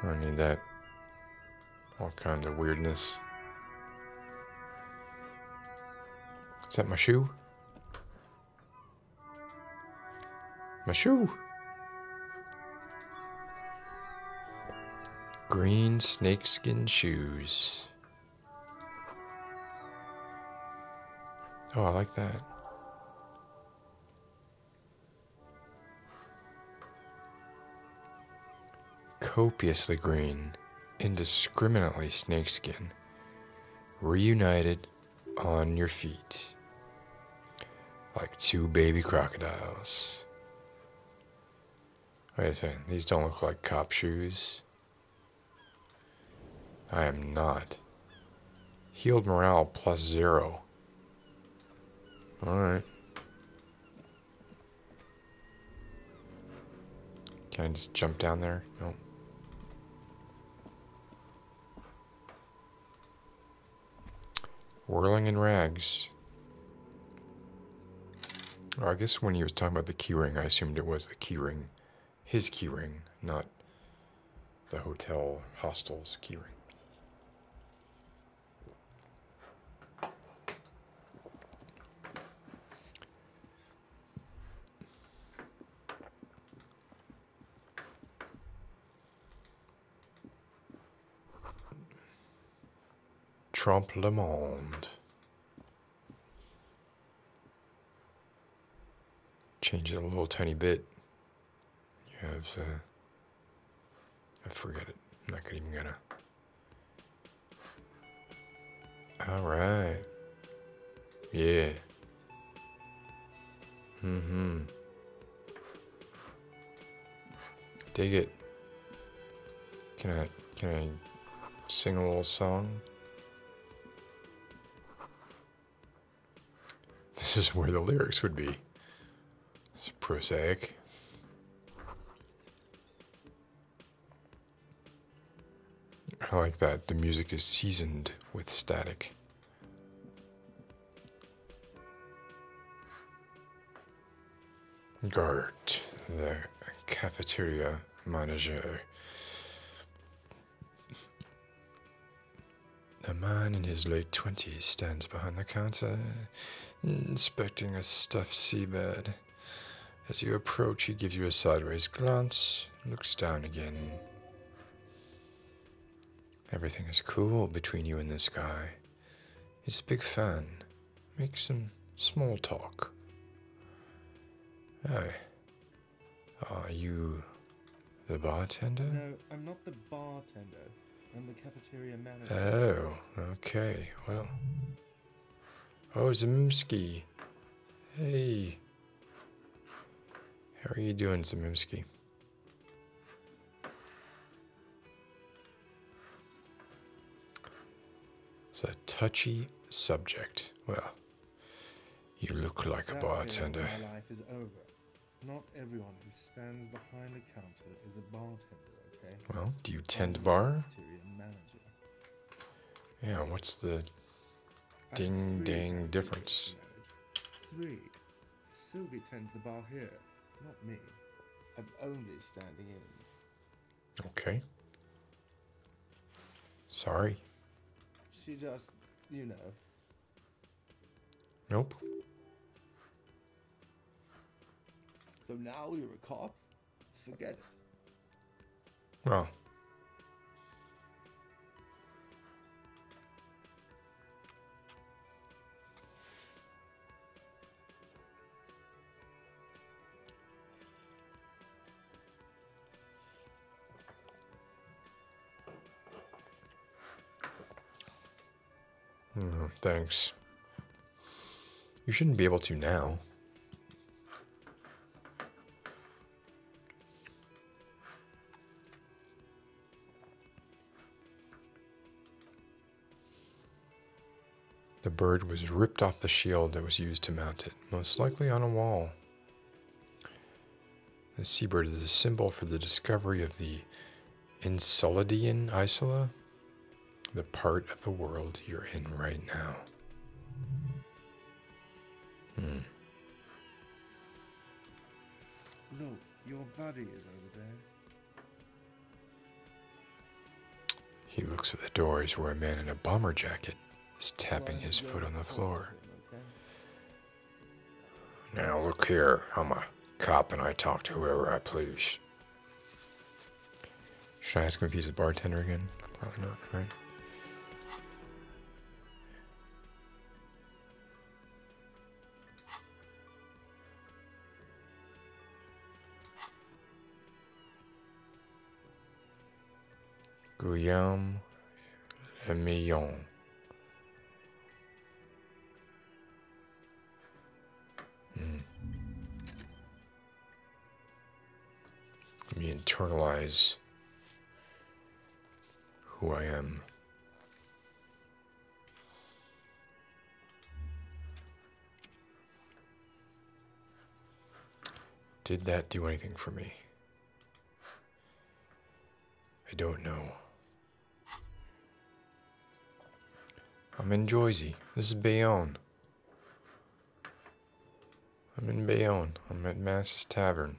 I need that. All kinds of weirdness. Is that my shoe? My shoe. Green snakeskin shoes. Oh, I like that. Copiously green, indiscriminately snakeskin reunited on your feet like two baby crocodiles. Wait a second, these don't look like cop shoes. I am not. Healed morale plus zero. Alright. Can I just jump down there? No. Whirling in rags. I guess when he was talking about the keyring, I assumed it was the keyring, his keyring, not the hotel hostel's keyring. Trump Le Monde. Change it a little tiny bit. Yeah, uh, I forget it. I'm not even gonna. All right. Yeah. Mm-hmm. Dig it. Can I, can I sing a little song? This is where the lyrics would be. It's prosaic. I like that. The music is seasoned with static. Gart, the cafeteria manager. A man in his late twenties stands behind the counter, inspecting a stuffed seabed. As you approach, he gives you a sideways glance, looks down again. Everything is cool between you and this guy. He's a big fan. Make some small talk. Hey, are you the bartender? No, I'm not the bartender. I'm the cafeteria manager. Oh, okay. Well. Oh, Zimski. Hey. How are you doing, Zamimski? It's a touchy subject. Well, you look like a bartender. Not everyone who stands behind a counter is a bartender, okay? Well, do you tend bar? Yeah, what's the Ding, ding, difference. Three. Sylvie tends the bar here, not me. I'm only standing in. Okay. Sorry. She just, you know. Nope. So now you're a cop? Forget it. Oh. No, thanks. You shouldn't be able to now. The bird was ripped off the shield that was used to mount it, most likely on a wall. The seabird is a symbol for the discovery of the Enceladian Isola, the part of the world you're in right now. Hmm. Look, your buddy is over there. He looks at the doors where a man in a bomber jacket is tapping his foot on the floor. Now look here, I'm a cop and I talk to whoever I please. Should I ask him if he's a bartender again? Probably not, right? Guillaume Lemillon. Hmm. Let me internalize who I am. Did that do anything for me? I don't know. I'm in Jersey. This is Bayonne. I'm in Bayonne. I'm at Mass's Tavern.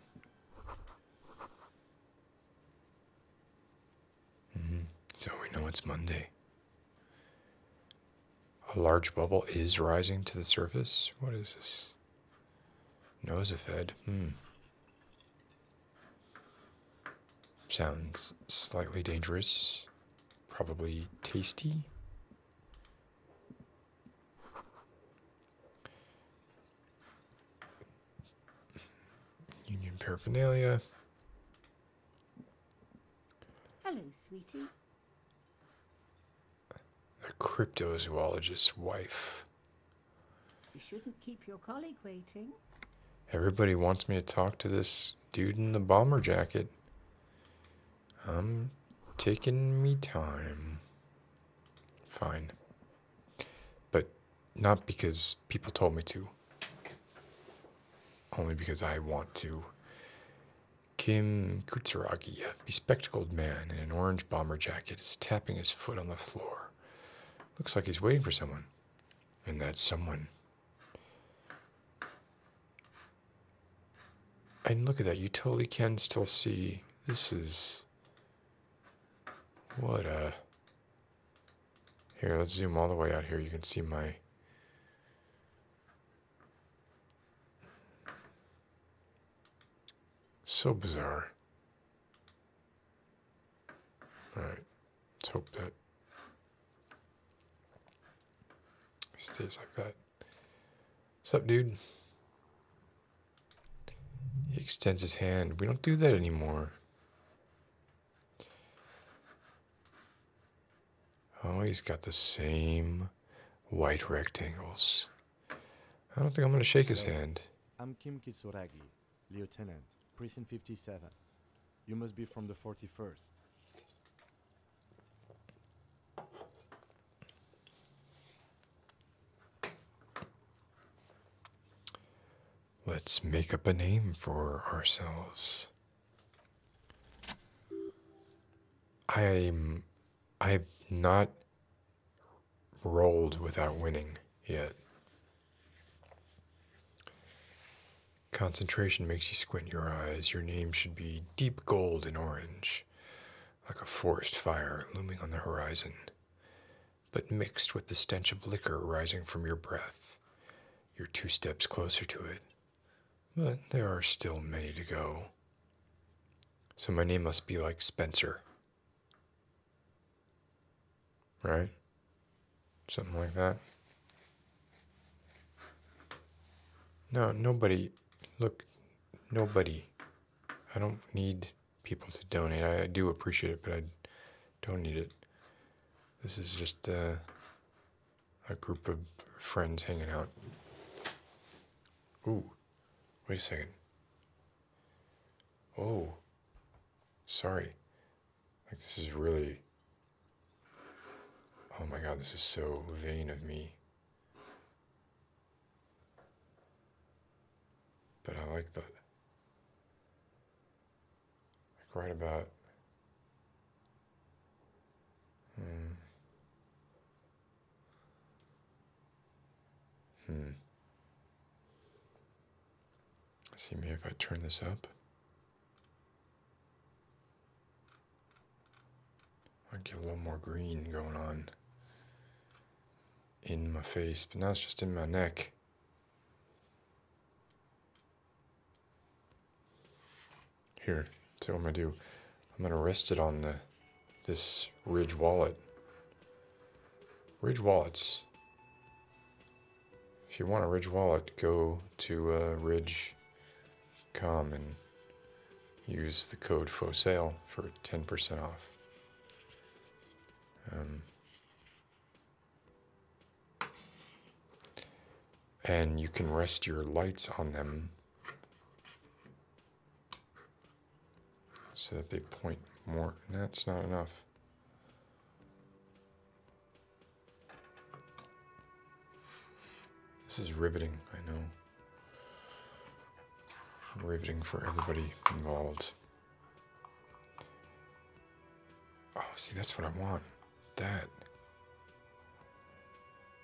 Mm-hmm. So we know it's Monday. A large bubble is rising to the surface. What is this? Nosefed. Hmm. Sounds slightly dangerous. Probably tasty. Union paraphernalia. Hello, sweetie. The cryptozoologist's wife. You shouldn't keep your colleague waiting. Everybody wants me to talk to this dude in the bomber jacket. I'm taking me time. Fine. But not because people told me to, only because I want to. Kim Kutsuragi, a bespectacled man in an orange bomber jacket, is tapping his foot on the floor. Looks like he's waiting for someone. And that someone. And look at that, you totally can still see. This is what a... Uh, here, let's zoom all the way out here. You can see my... So bizarre. Alright, let's hope that stays like that. What's up, dude? He extends his hand. We don't do that anymore. Oh, he's got the same white rectangles. I don't think I'm going to shake his hand. I'm Kim Kisuragi, Lieutenant, Prison 57. You must be from the 41st. Let's make up a name for ourselves. I'm I've not rolled without winning yet. Concentration makes you squint your eyes. Your name should be deep gold and orange, like a forest fire looming on the horizon but mixed with the stench of liquor rising from your breath. You're two steps closer to it, but there are still many to go. So my name must be like Spencer. Right? Something like that. No, nobody. Look, nobody. I don't need people to donate. I, do appreciate it, but I don't need it. This is just uh, a group of friends hanging out. Ooh, wait a second. Oh, sorry. Like, this is really. Oh my god, this is so vain of me. But I like that. Like right about. Hmm. Hmm. See me if I turn this up. i get a little more green going on in my face, but now it's just in my neck. Here, so I'm gonna do, I'm gonna rest it on the this ridge wallet. Ridge wallets. If you want a ridge wallet, go to uh, Ridge. ridge.com and use the code FOSALE for 10% off. Um, and you can rest your lights on them so that they point more. That's not enough. This is riveting, I know. Riveting for everybody involved. Oh, see, that's what I want. That.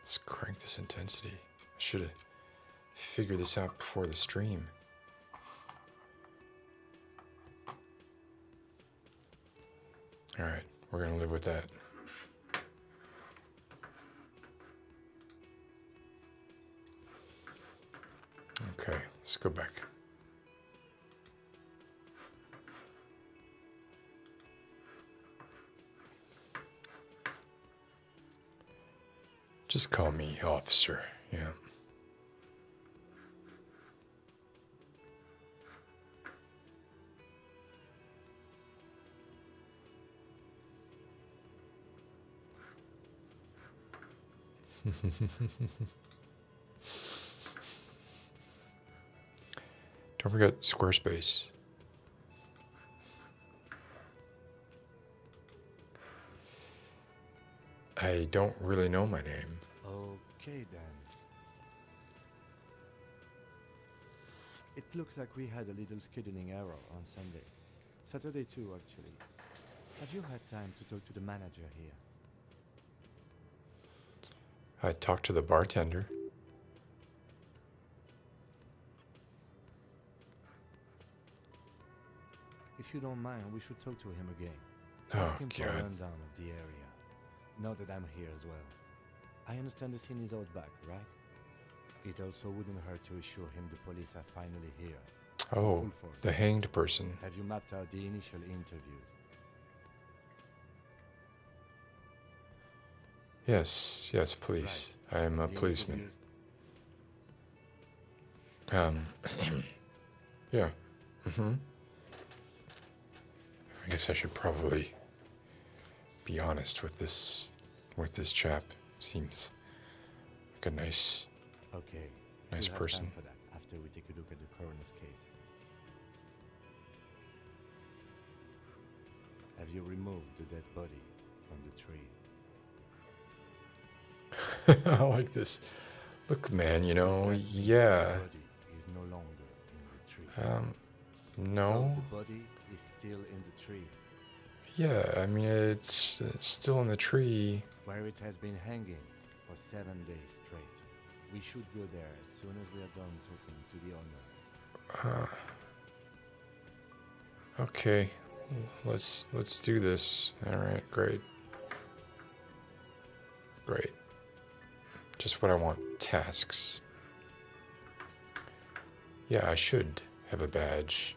Let's crank this intensity. I should have figured this out before the stream. All right, we're going to live with that. Okay, let's go back. Just call me officer, yeah. Don't forget Squarespace. I don't really know my name. Okay, then. It looks like we had a little scheduling error on Sunday. Saturday too, actually. Have you had time to talk to the manager here? I talked to the bartender. If you don't mind, we should talk to him again. Oh, Ask him for a rundown of the area. Now that I'm here as well. I understand the scene is out back, right? It also wouldn't hurt to assure him the police are finally here Oh, the hanged person. Have you mapped out the initial interviews? Yes, yes, please. I am a policeman. Um, yeah. Mm-hmm. I guess I should probably be honest with this, with this chap. Seems like a nice Okay. Nice person. after we take a look at the coroner's case. Have you removed the dead body from the tree? I like this. Look, man, you know, yeah. No um, the body is still in the tree. Yeah, I mean, it's still in the tree. Where it has been hanging for seven days straight. We should go there as soon as we are done talking to the owner. okay, let's let's do this. All right, great, great. Just what I want. Tasks. Yeah, I should have a badge.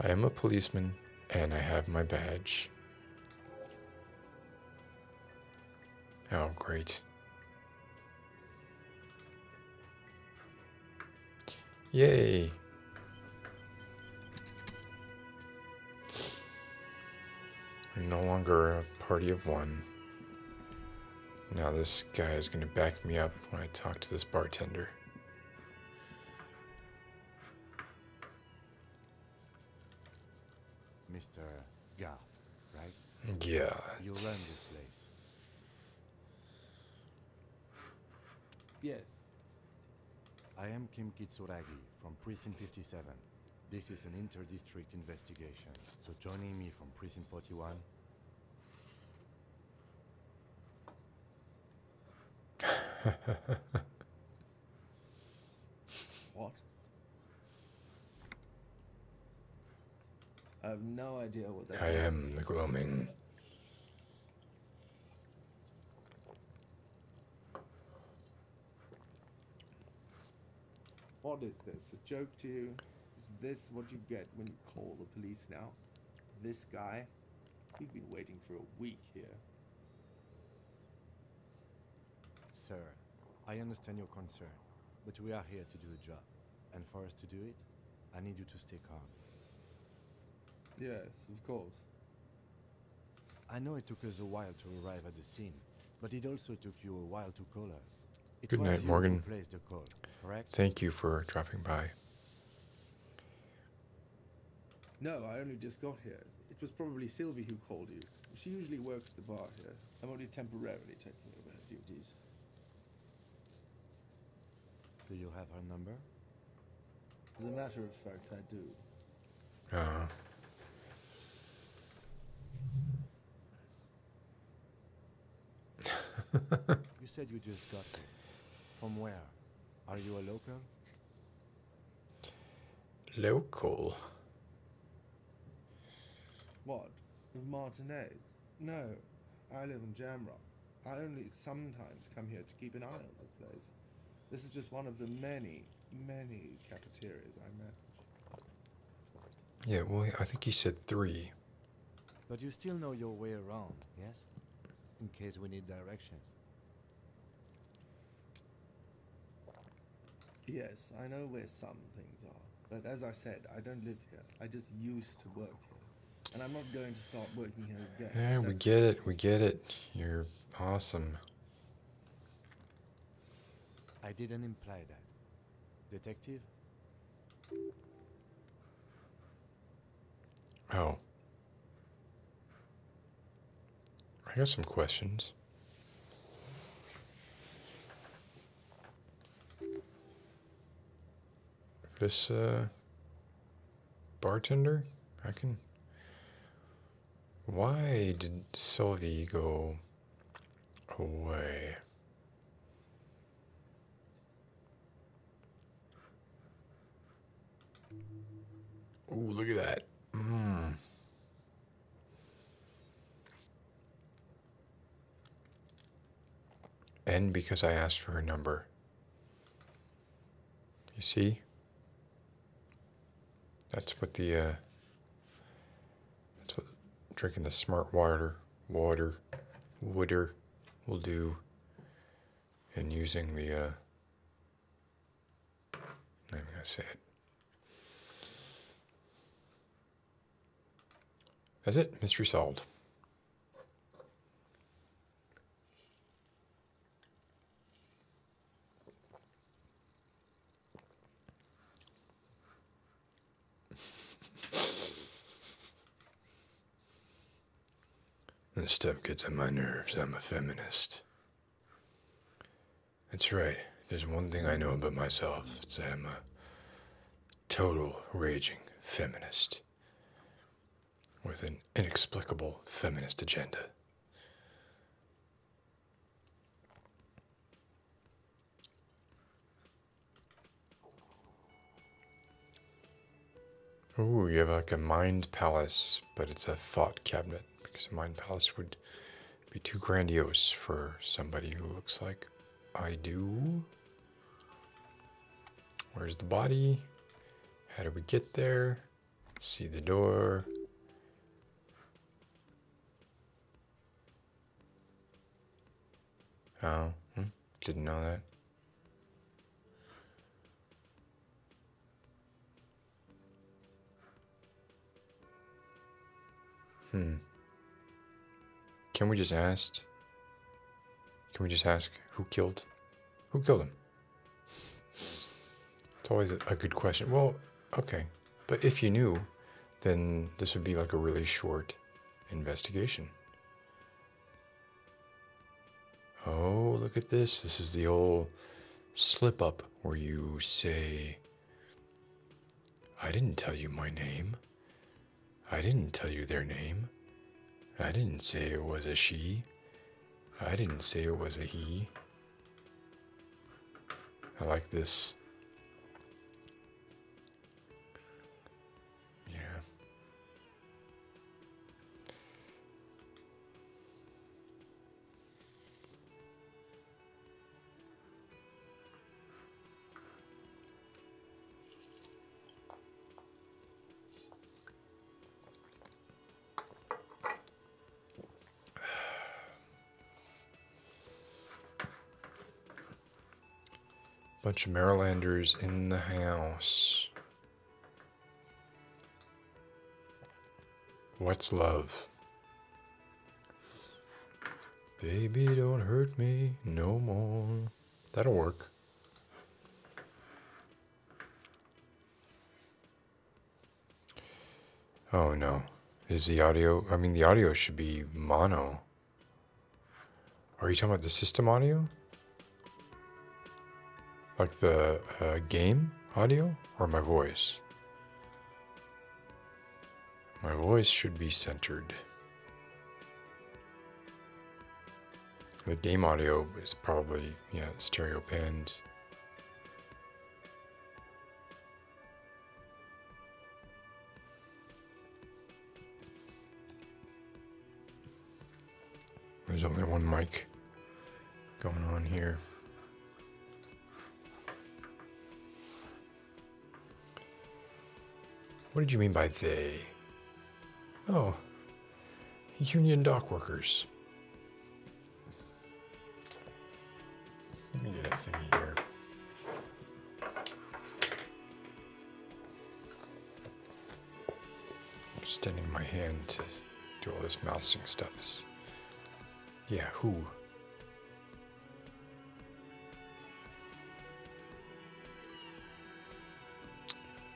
I am a policeman and I have my badge. Oh, great. Yay. I'm no longer a party of one. Now this guy is going to back me up when I talk to this bartender. Mr. Gart, right? Yeah. You learned this place. Yes. I am Kim Kitsuragi from Prison 57. This is an inter-district investigation, so joining me from Prison 41 what? I have no idea what that I am the gloaming. What is this? A joke to you? Is this what you get when you call the police now? This guy? We've been waiting for a week here. Sir, I understand your concern, but we are here to do a job. And for us to do it, I need you to stay calm. Yes, of course. I know it took us a while to arrive at the scene, but it also took you a while to call us. Good night, Morgan. Thank you for dropping by. No, I only just got here. It was probably Sylvie who called you. She usually works the bar here. I'm only temporarily taking over her duties. Do you have her number? As a matter of fact, I do. Uh you said you just got From where? Are you a local? Local? What? Of Martinez? No, I live in Jamrock. I only sometimes come here to keep an eye on the place. This is just one of the many, many cafeterias I met. Yeah, well, I think he said three. But you still know your way around, yes? In case we need directions. Yes, I know where some things are. But as I said, I don't live here. I just used to work here. And I'm not going to start working here again. Yeah, we get it. We get it. You're awesome. I didn't imply that. Detective? Oh. I got some questions. This uh, bartender, I can. Why did Sylvie go away? Ooh, look at that. And mm. because I asked for her number. You see? That's what the, uh, that's what drinking the smart water, water, water will do. And using the, uh, I'm going to say it. That's it. Mystery solved. This stuff gets on my nerves. I'm a feminist. That's right. there's one thing I know about myself. It's that I'm a total raging feminist with an inexplicable feminist agenda. Oh, you have like a mind palace, but it's a thought cabinet because a mind palace would be too grandiose for somebody who looks like I do. Where's the body? How do we get there? See the door. Oh, hmm, didn't know that. Hmm. Can we just ask? Can we just ask who killed? Who killed him? It's always a good question. Well, okay. But if you knew, then this would be like a really short investigation. Oh, look at this. This is the old slip up where you say, I didn't tell you my name. I didn't tell you their name. I didn't say it was a she. I didn't say it was a he. I like this. Yeah bunch of Marylanders in the house. What's love? Baby, don't hurt me no more. That'll work. Oh no. Is the audio, I mean, the audio should be mono. Are you talking about the system audio? Like the uh, game audio or my voice? My voice should be centered. The game audio is probably, yeah, stereo panned. There's only one mic going on here. What did you mean by they? Oh, union dockworkers. Let me get a thingy here. I'm extending my hand to do all this mousing stuff is. Yeah, who?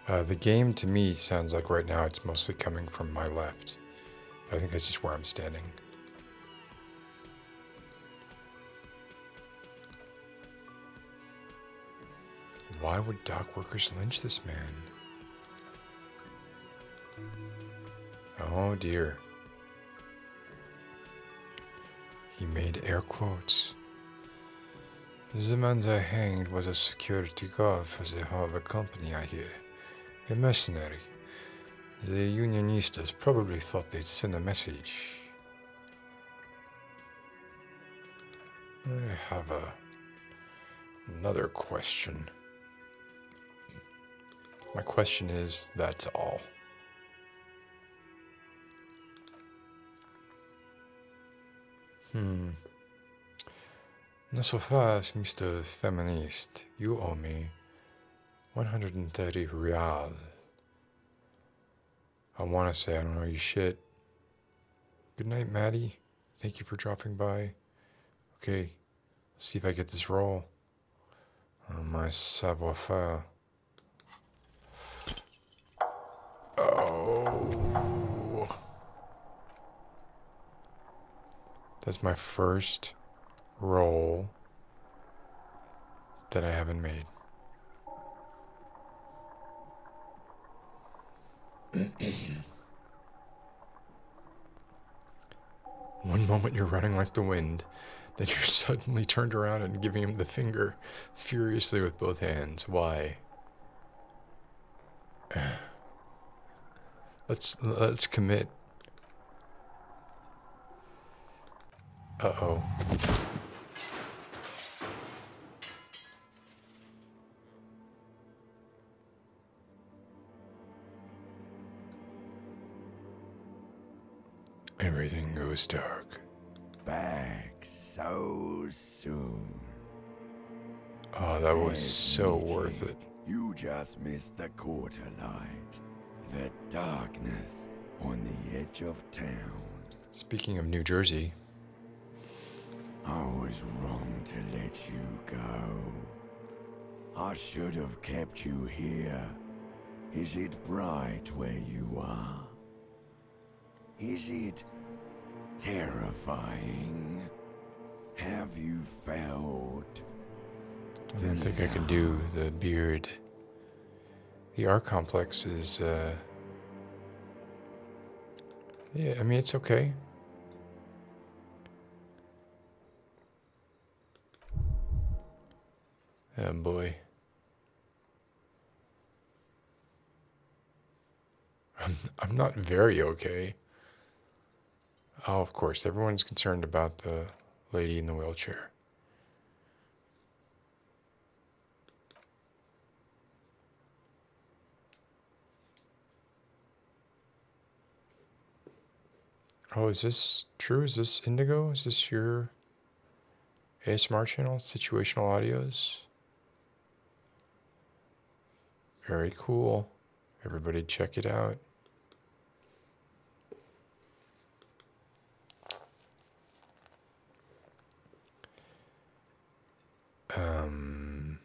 Uh, the game to me sounds like right now it's mostly coming from my left. I think that's just where I'm standing. Why would dockworkers lynch this man? Oh dear. He made air quotes. The man they hanged was a security guard for the Harbor Company, I hear. A mercenary. The unionistas probably thought they'd send a message. I have a, another question. My question is, that's all. Hmm. Not so fast, Mr. Feminist. You owe me 130 real. I want to say I don't know you shit. Good night, Maddie. Thank you for dropping by. Okay, see if I get this roll. on my savoir faire. Oh. That's my first roll that I haven't made. One moment you're running like the wind, then you're suddenly turned around and giving him the finger furiously with both hands. Why? Let's let's commit. Uh-oh. Everything goes dark. Back so soon. Oh, that was so worth it. You just missed the quarter light. The darkness on the edge of town. Speaking of New Jersey. I was wrong to let you go. I should have kept you here. Is it bright where you are? Is it terrifying? Have you felt? I do think I can do the beard. The R complex is, uh, yeah, I mean, it's okay. Oh boy. I'm, I'm not very okay. Oh, of course, everyone's concerned about the lady in the wheelchair. Oh, is this true? Is this Indigo? Is this your ASMR channel? Situational audios? Very cool. Everybody check it out. Um,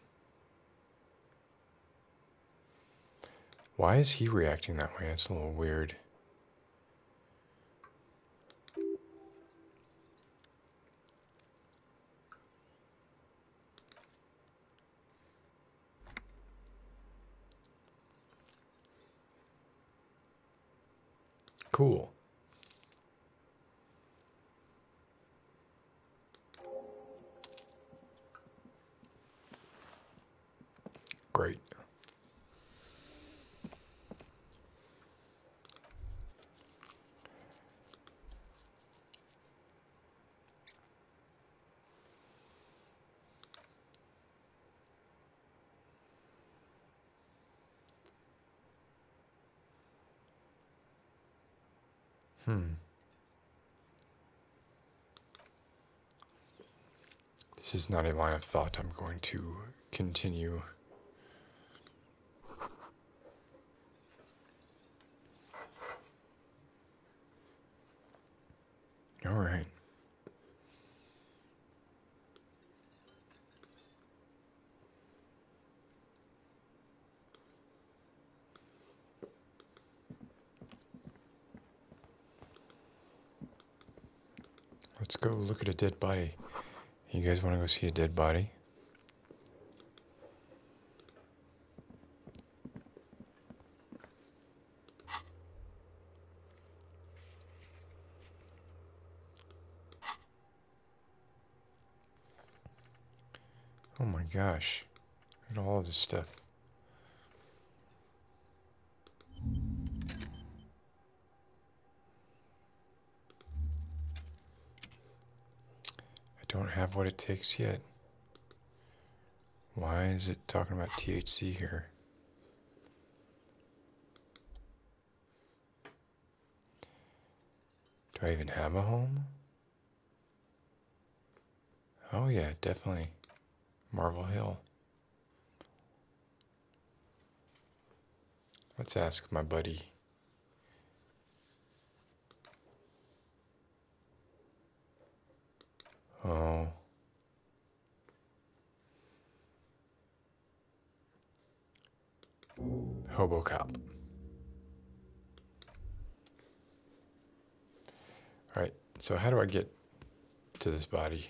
why is he reacting that way? It's a little weird. Cool. Great. Hmm. This is not a line of thought I'm going to continue. All right. Let's go look at a dead body. You guys want to go see a dead body? Oh my gosh. Look at all this stuff. I don't have what it takes yet. Why is it talking about THC here? Do I even have a home? Oh, yeah, definitely. Marvel Hill. Let's ask my buddy. Oh. Hobo Cop. All right, so how do I get to this body?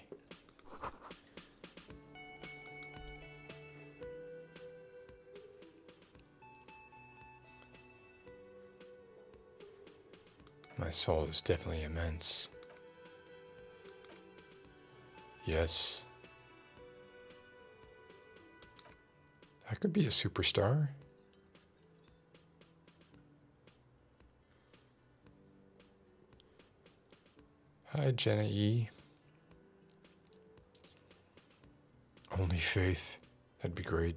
My soul is definitely immense. Yes. I could be a superstar. Hi, Jenna E. Only Faith. That'd be great.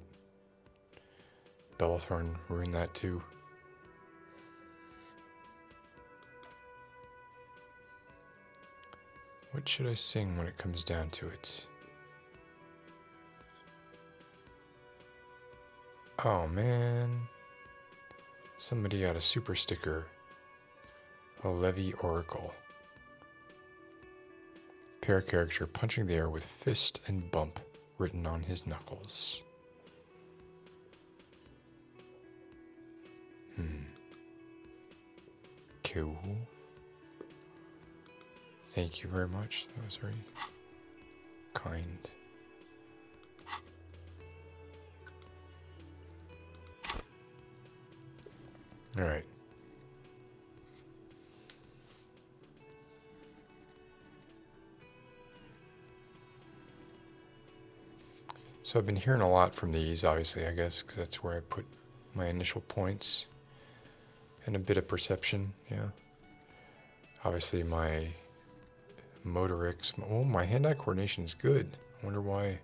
Bellathorn ruined that too. What should I sing when it comes down to it? Oh man. Somebody got a super sticker. A Levy Oracle. Pair character punching the air with fist and bump written on his knuckles. Hmm. Cool. Thank you very much. That was very kind. All right. So I've been hearing a lot from these, obviously, I guess, because that's where I put my initial points and a bit of perception, yeah. Obviously my motorics, oh my hand-eye coordination is good. I wonder why,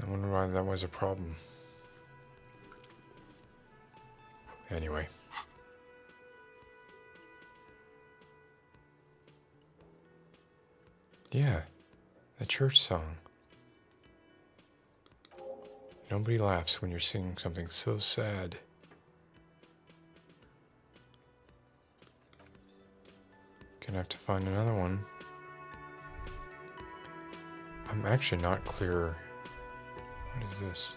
I wonder why that was a problem. Anyway. Yeah, a church song. Nobody laughs when you're singing something so sad. Gonna have to find another one. I'm actually not clear. What is this?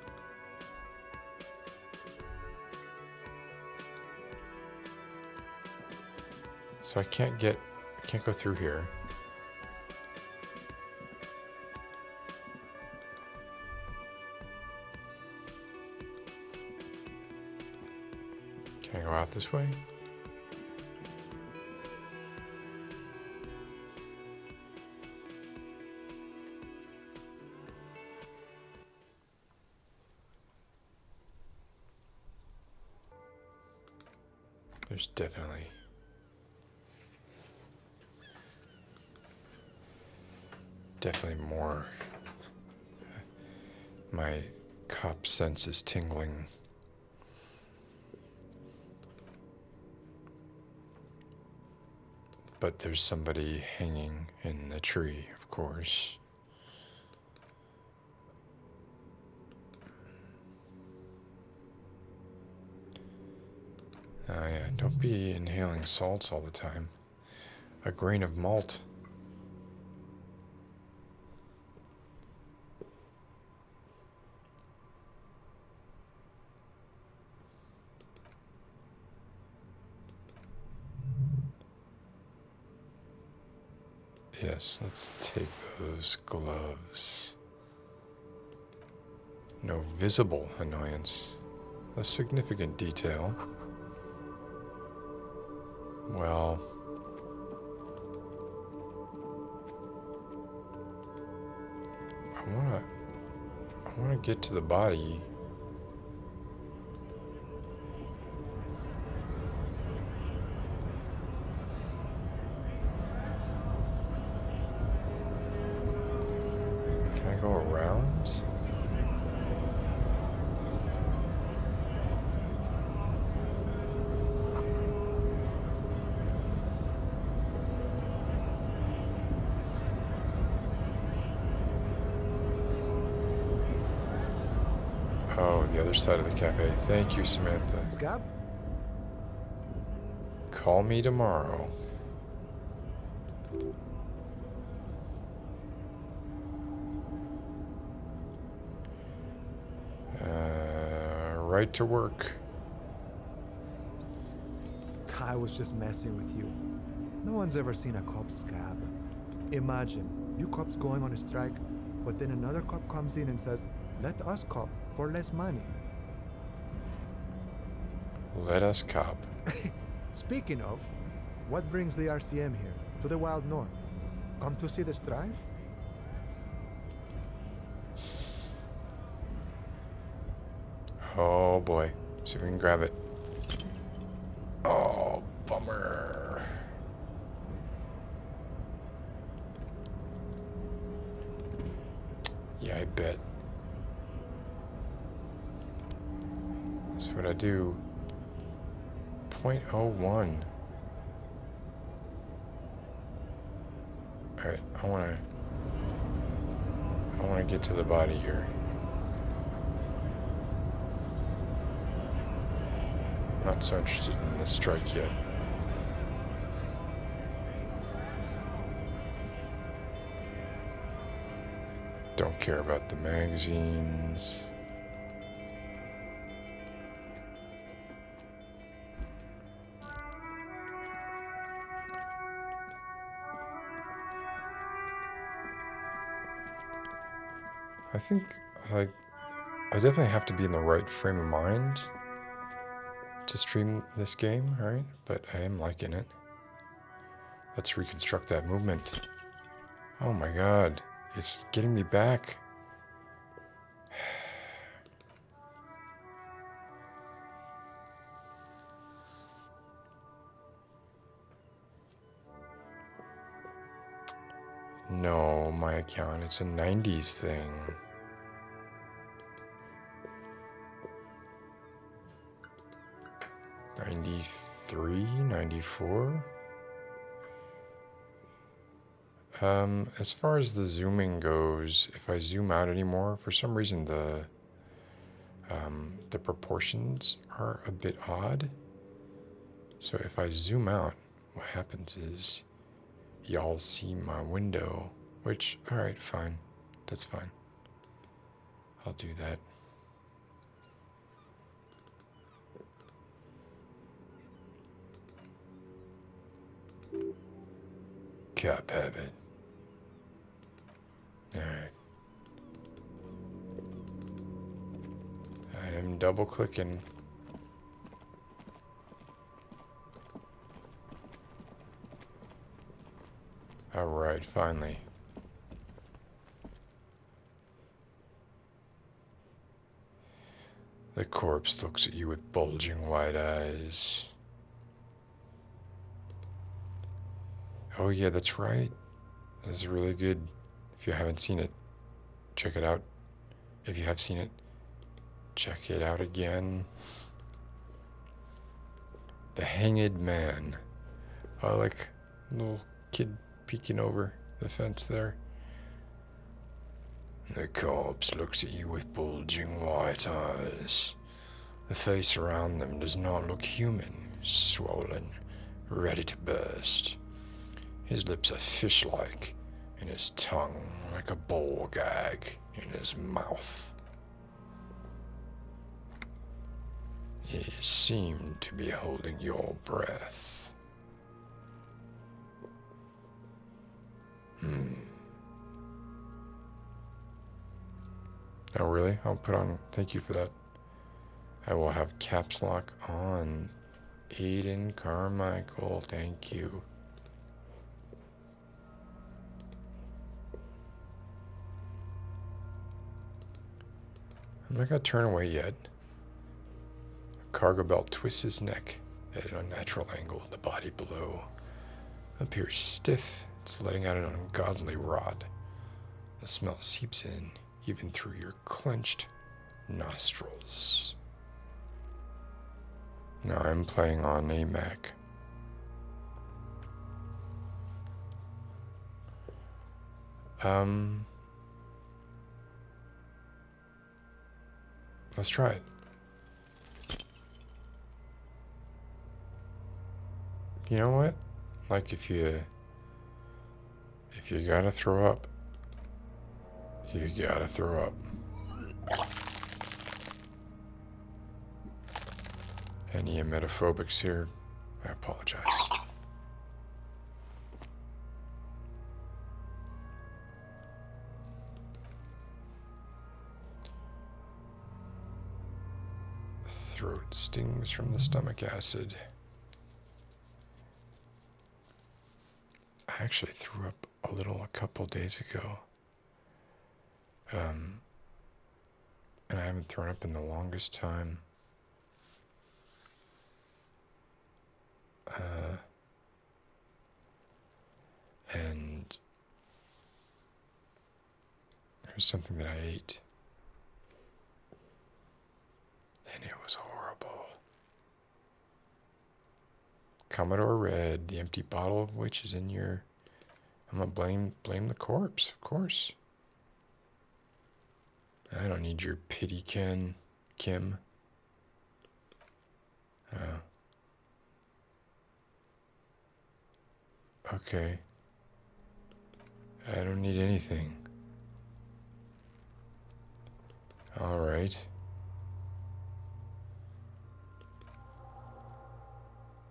So I can't get, I can't go through here. Can I go out this way? There's definitely Definitely more. My cop sense is tingling. But there's somebody hanging in the tree, of course. Oh yeah, don't be inhaling salts all the time. A grain of malt. Yes, let's take those gloves. No visible annoyance. A significant detail. Well... I wanna... I wanna get to the body. Can I go around? Oh, the other side of the cafe. Thank you, Samantha. Scott? Call me tomorrow. Uh, right to work. I was just messing with you. No one's ever seen a cop scab. Imagine, you cops going on a strike, but then another cop comes in and says, let us cop for less money. Let us cop. Speaking of, what brings the RCM here, to the Wild North? Come to see the strife? Oh boy. See if we can grab it. Oh, bummer. Yeah, I bet. That's what I do, 0.01. Alright, I wanna, I wanna get to the body here. Not so interested in the strike yet. Don't care about the magazines. I think I, I definitely have to be in the right frame of mind to stream this game, right? but I am liking it. Let's reconstruct that movement. Oh my god, it's getting me back. No, my account, it's a 90s thing. 93, 94. Um, as far as the zooming goes, if I zoom out anymore, for some reason the um, the proportions are a bit odd. So if I zoom out, what happens is y'all see my window, which, all right, fine. That's fine. I'll do that. Cap habit. Alright. I am double clicking. Alright, finally. The corpse looks at you with bulging wide eyes. Oh yeah, that's right. That's really good. If you haven't seen it, check it out. If you have seen it, check it out again. The Hanged Man. I oh, like Little kid peeking over the fence there. The corpse looks at you with bulging white eyes. The face around them does not look human, swollen, ready to burst. His lips are fish like, and his tongue like a ball gag in his mouth. You seemed to be holding your breath. Hmm. Oh, really? I'll put on. Thank you for that. I will have caps lock on. Aiden Carmichael, thank you. I'm not going to turn away yet. Cargo belt twists his neck at an unnatural angle. The body below appears stiff. It's letting out an ungodly rot. The smell seeps in, even through your clenched nostrils. Now I'm playing on a Mac. Um, let's try it. You know what? Like if you if you gotta throw up, you gotta throw up. Any emetophobics here? I apologize. Throat stings from the stomach acid. I actually threw up a little a couple days ago. Um, and I haven't thrown up in the longest time. Uh, and there's something that I ate, and it was horrible. Commodore Red, the empty bottle of which is in your. I'm gonna blame blame the corpse, of course. I don't need your pity, Ken. Kim. Oh. Okay. I don't need anything. All right.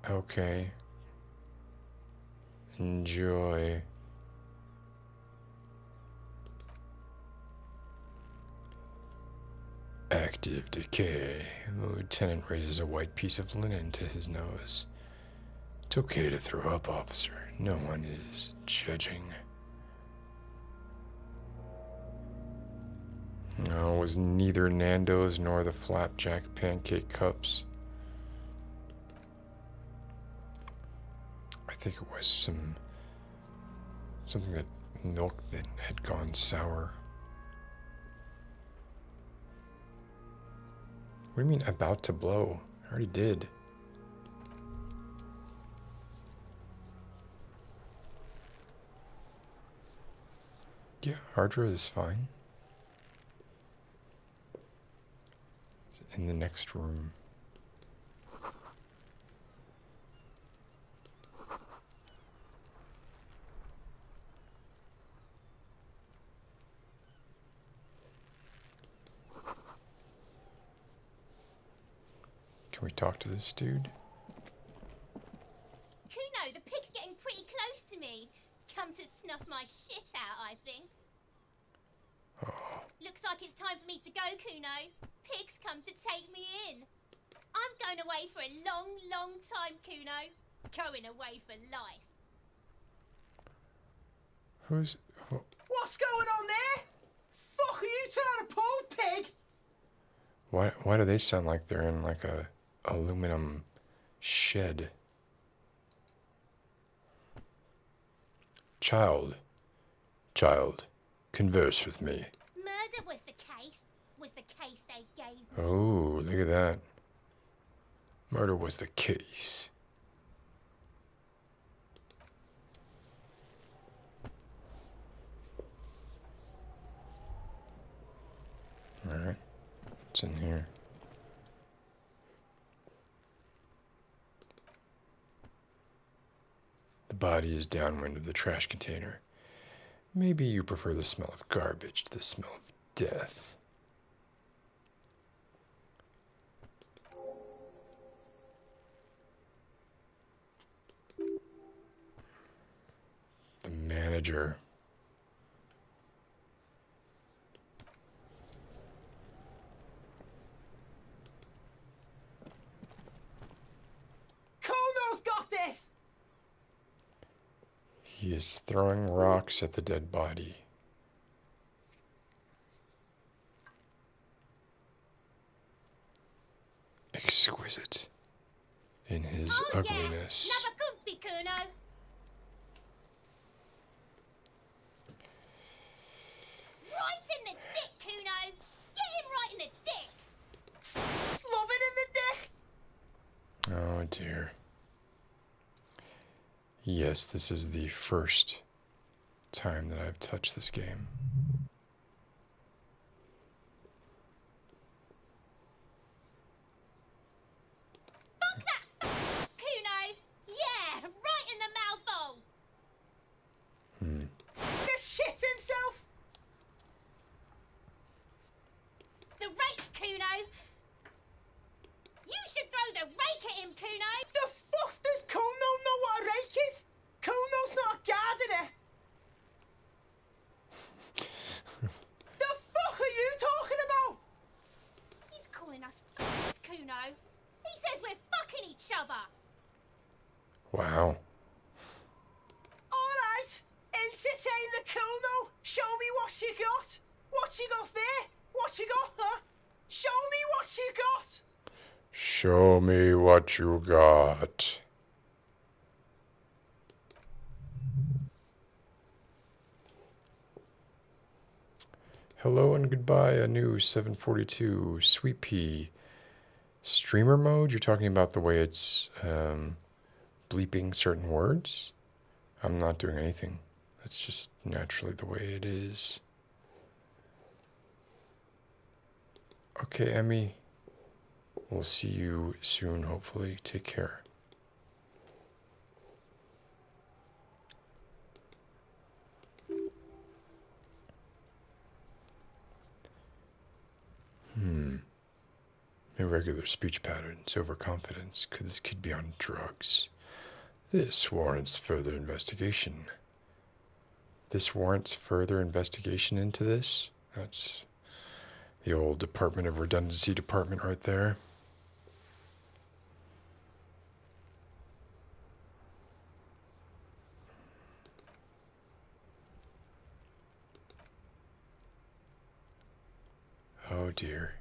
Okay. Enjoy. Active decay. The lieutenant raises a white piece of linen to his nose. It's okay to throw up, officer. No one is judging. No, it was neither Nando's nor the flapjack pancake cups. I think it was some something that milk that had gone sour. What do you mean about to blow? I already did. Yeah, Hardra is fine in the next room. Can we talk to this dude? Kuno, the pig's getting pretty close to me. Come to snuff my shit out, I think. Looks like it's time for me to go, Kuno. Pig's come to take me in. I'm going away for a long, long time, Kuno. Going away for life. Who's... What's going on there? Fuck, are you trying to pull, pig? Why, why do they sound like they're in like a aluminum shed? Child, child, converse with me. Murder was the case, was the case they gave Oh, look at that. Murder was the case. Alright, what's in here? The body is downwind of the trash container. Maybe you prefer the smell of garbage to the smell of death. The manager. Kono's got this! He is throwing rocks at the dead body. Exquisite in his oh, ugliness. Yeah. Right in the dick, Kuno! Get him right in the dick! Love in the dick! Oh dear. Yes, this is the first time that I've touched this game. Fuck that! Kuno! Yeah! Right in the mouth Hmm. The shit himself! The rake, Kuno! You should throw the rake at him, Kuno! The fuck does Kuno know what a rake is? Kuno's not a gardener! the fuck are you talking about? He's calling us f***s, Kuno. He says we're fucking each other. Wow. All right. Elsie's in the cool Show me what you got. What you got there? What you got, Show me what you got. Show me what you got. Hello and goodbye, a new 742 Sweet Pea streamer mode. You're talking about the way it's um, bleeping certain words. I'm not doing anything. That's just naturally the way it is. Okay, Emmy. We'll see you soon, hopefully. Take care. Hmm. Irregular speech patterns, overconfidence. Could this kid be on drugs? This warrants further investigation. This warrants further investigation into this? That's the old Department of Redundancy Department right there. Oh dear.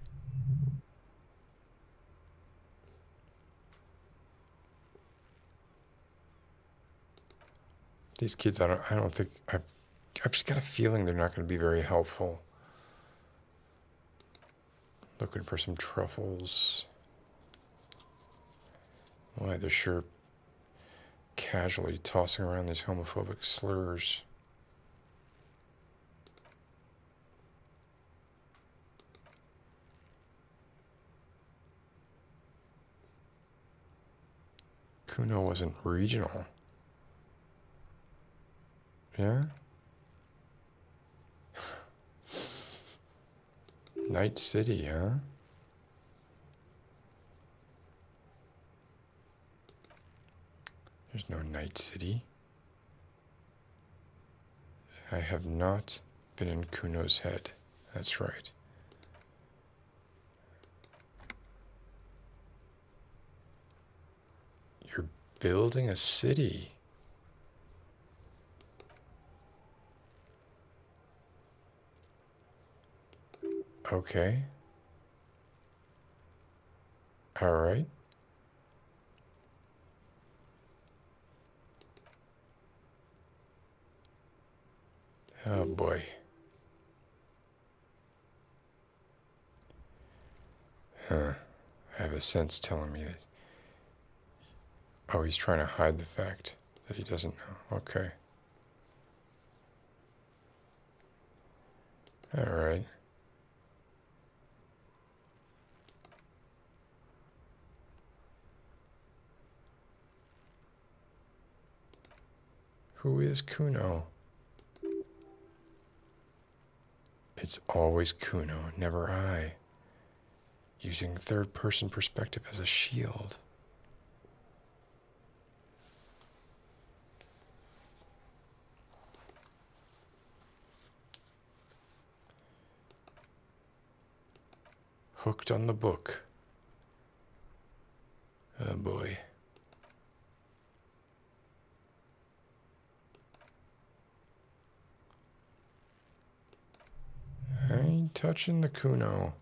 These kids, I don't, I don't think, I've, I've just got a feeling they're not going to be very helpful. Looking for some truffles. Why the are casually tossing around these homophobic slurs. Kuno wasn't regional. Yeah? Night City, huh? There's no Night City. I have not been in Kuno's head. That's right. You're building a city. Okay. All right. Oh boy. Huh. I have a sense telling me that Oh, he's trying to hide the fact that he doesn't know. Okay. All right. Who is Kuno? It's always Kuno, never I using third person perspective as a shield. Hooked on the book. Oh boy. I ain't touching the Kuno.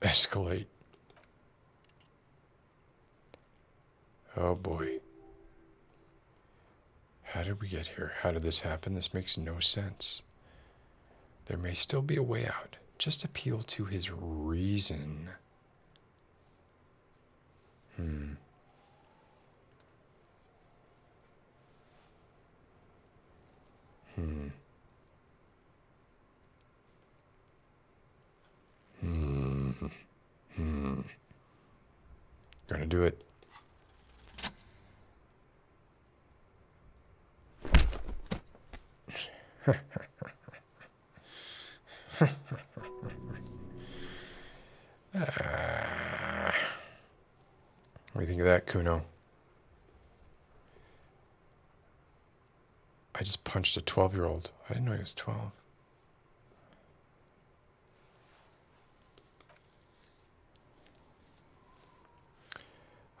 Escalate. Oh boy. How did we get here? How did this happen? This makes no sense. There may still be a way out. Just appeal to his reason. Hmm. Hmm. Hmm. Hmm. Gonna do it. What do you think of that, Kuno? I just punched a 12 year old. I didn't know he was 12.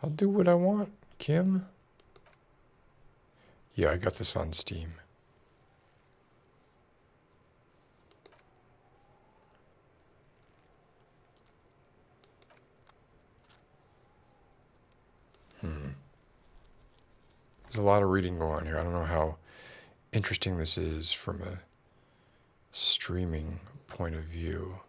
I'll do what I want, Kim. Yeah, I got this on Steam. Hmm. There's a lot of reading going on here. I don't know how interesting this is from a streaming point of view.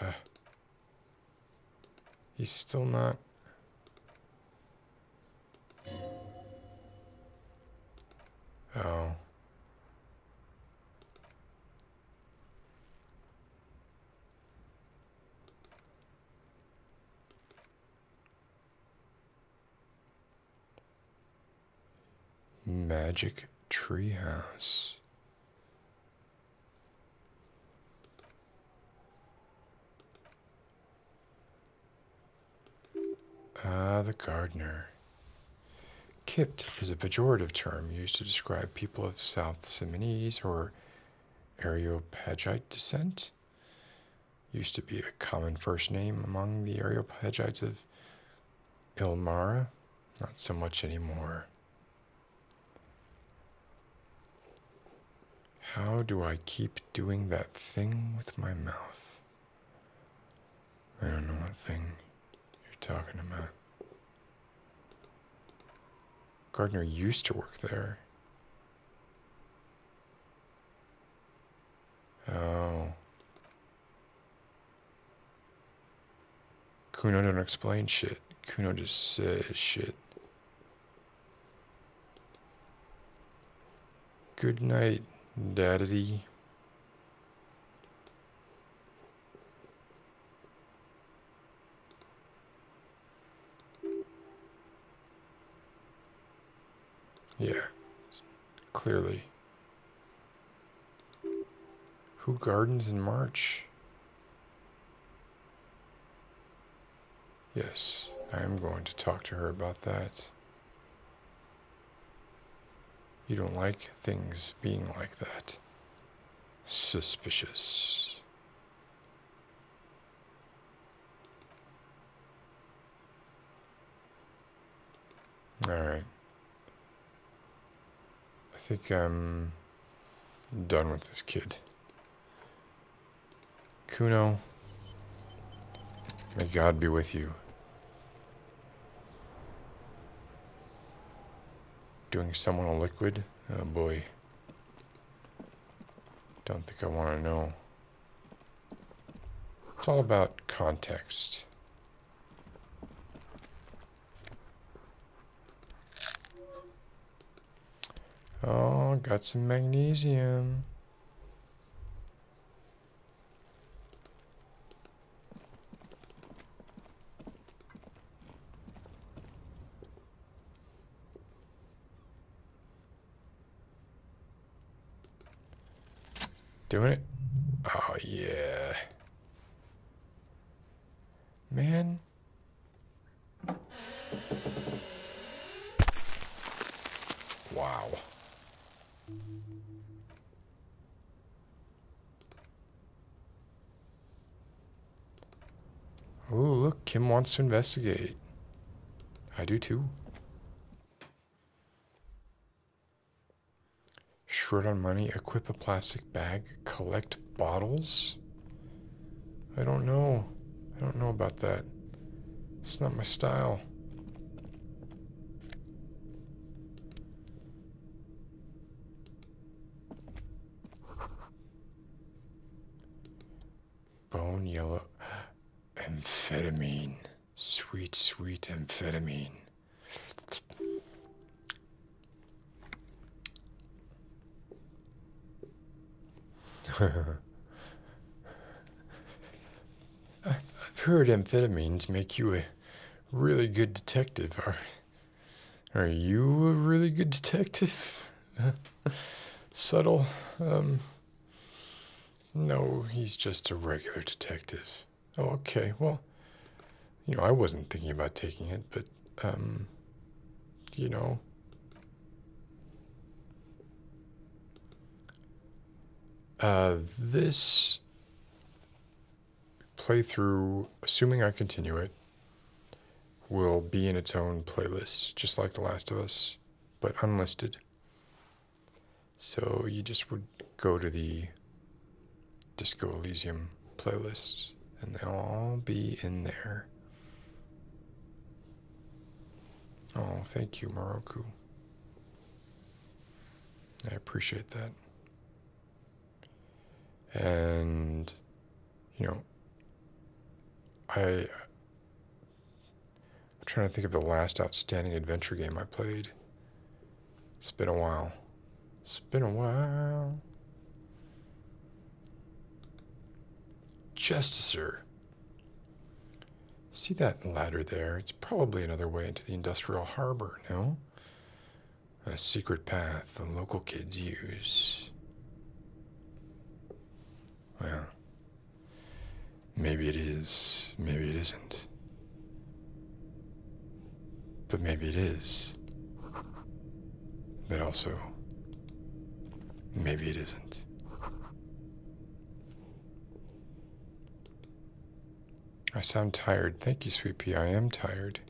He's still not... Oh. Magic Treehouse. Ah, the gardener. Kipt is a pejorative term used to describe people of South Simonese or Areopagite descent. Used to be a common first name among the Areopagites of Ilmara, not so much anymore. How do I keep doing that thing with my mouth? I don't know what thing you're talking about. Gardner used to work there. Oh. Kuno don't explain shit. Kuno just says shit. Good night, daddy. Yeah, clearly. Who gardens in March? Yes, I am going to talk to her about that. You don't like things being like that. Suspicious. All right. I think I'm done with this kid. Kuno, may God be with you. Doing someone a liquid? Oh boy. Don't think I want to know. It's all about context. Oh, got some magnesium. Doing it? Oh, yeah. Man. Wow. Oh, look, Kim wants to investigate. I do too. Short on money, equip a plastic bag, collect bottles? I don't know. I don't know about that. It's not my style. Bone yellow. Amphetamine. Sweet, sweet amphetamine. I've heard amphetamines make you a really good detective. Are, are you a really good detective? Subtle? Um, no, he's just a regular detective. Oh, okay. Well, you know, I wasn't thinking about taking it, but, um, you know. Uh, this playthrough, assuming I continue it, will be in its own playlist, just like The Last of Us, but unlisted. So you just would go to the Disco Elysium playlists, and they'll all be in there. Oh, thank you, Moroku. I appreciate that. And, you know, I, I'm trying to think of the last outstanding adventure game I played. It's been a while. It's been a while. Justicer. See that ladder there? It's probably another way into the industrial harbor, no? A secret path the local kids use. Well, maybe it is, maybe it isn't. But maybe it is. But also, maybe it isn't. I sound tired. Thank you, Sweet I am tired.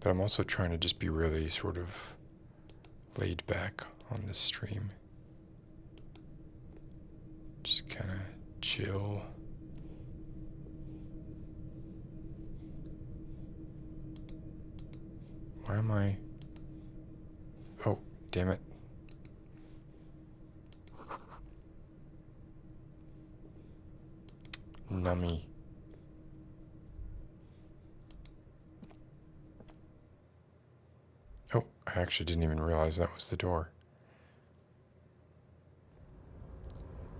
But I'm also trying to just be really sort of laid back on this stream. Just kind of Chill. Why am I... Oh, damn it. Nummy. Oh, I actually didn't even realize that was the door.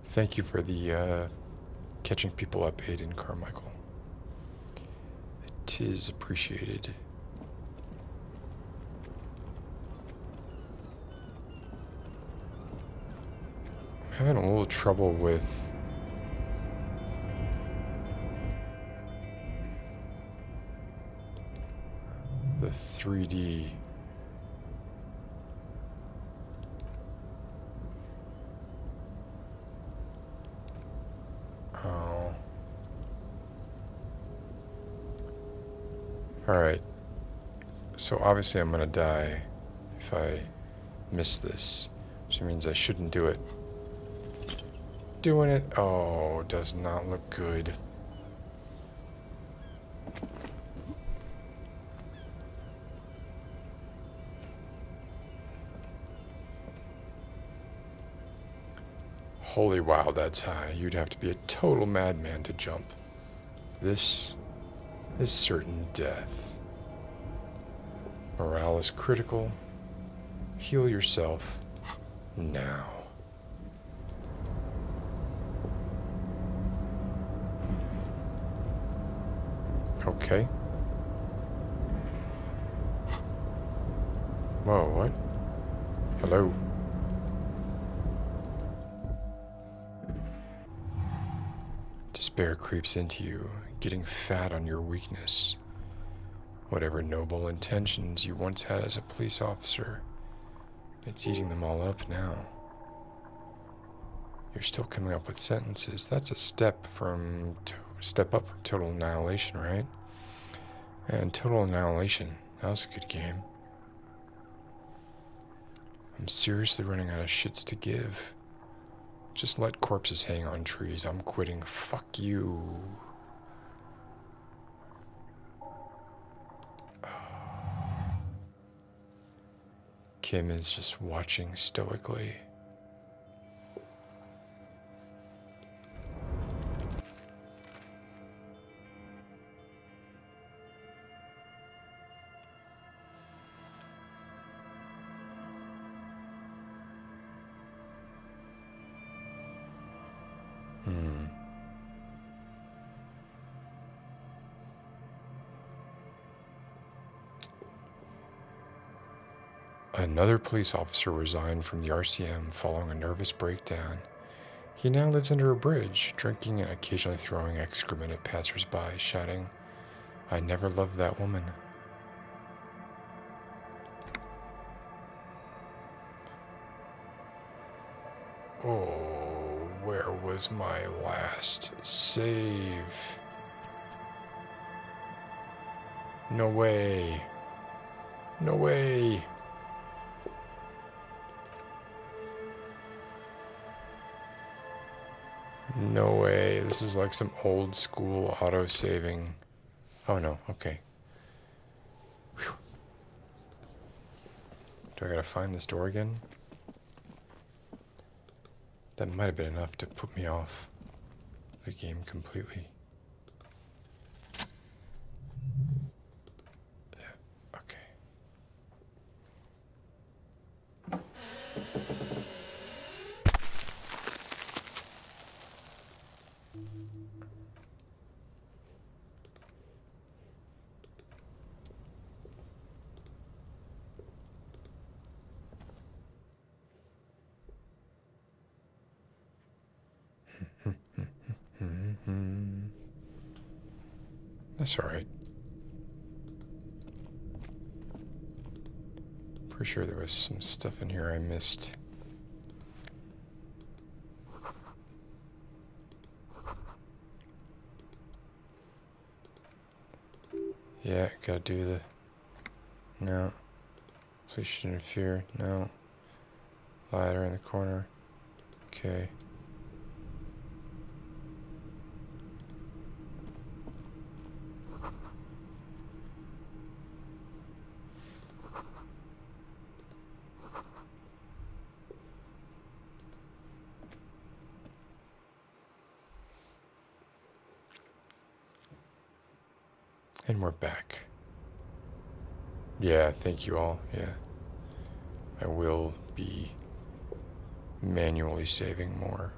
Thank you for the uh, catching people up, Aiden Carmichael. It is appreciated. having a little trouble with the 3D Oh. Alright. So obviously I'm gonna die if I miss this. Which means I shouldn't do it. Doing it. Oh, does not look good. Holy wow, that's high. You'd have to be a total madman to jump. This is certain death. Morale is critical. Heal yourself now. Okay. Whoa, what? Hello. Despair creeps into you, getting fat on your weakness. Whatever noble intentions you once had as a police officer, it's eating them all up now. You're still coming up with sentences. That's a step from step up for Total Annihilation, right? And Total Annihilation. That was a good game. I'm seriously running out of shits to give. Just let corpses hang on trees. I'm quitting. Fuck you. Kim is just watching stoically. Hmm. Another police officer resigned from the RCM following a nervous breakdown. He now lives under a bridge, drinking and occasionally throwing excrement at passersby, shouting, I never loved that woman. Oh, where was my last save? No way. No way. No way. This is like some old school auto saving. Oh no, okay. Do I gotta find this door again? That might have been enough to put me off the game completely. Yeah, okay. That's all right. Pretty sure there was some stuff in here I missed. Yeah, gotta do the... No. Please don't interfere. No. Ladder in the corner. Okay. And we're back. Yeah, thank you all. Yeah. I will be manually saving more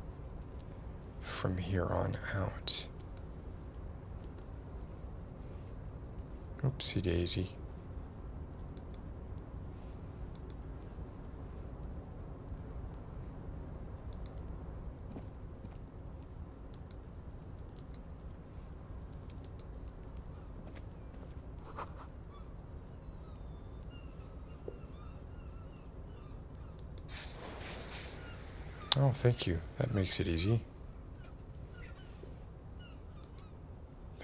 from here on out. Oopsie daisy. Oh, thank you. That makes it easy.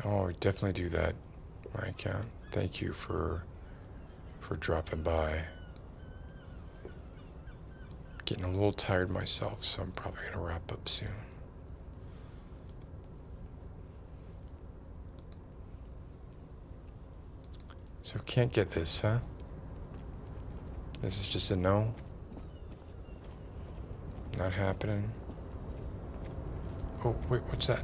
Oh, definitely do that. I can. Thank you for for dropping by. Getting a little tired myself, so I'm probably going to wrap up soon. So can't get this, huh? This is just a no? Not happening. Oh, wait, what's that?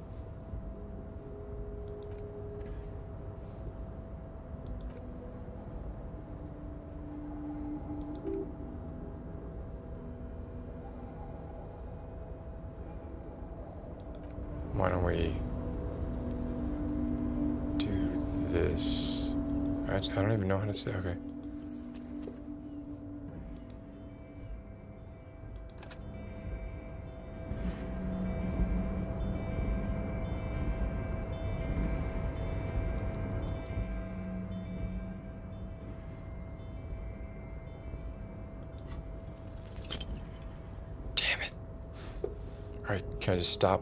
Why don't we do this? I, I don't even know how to say, okay. Damn it. Alright, can I just stop?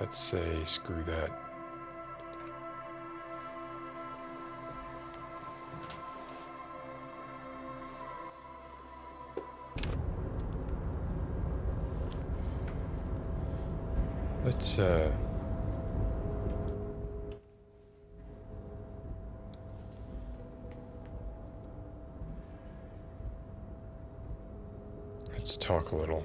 Let's say screw that. Let's, uh... Let's talk a little.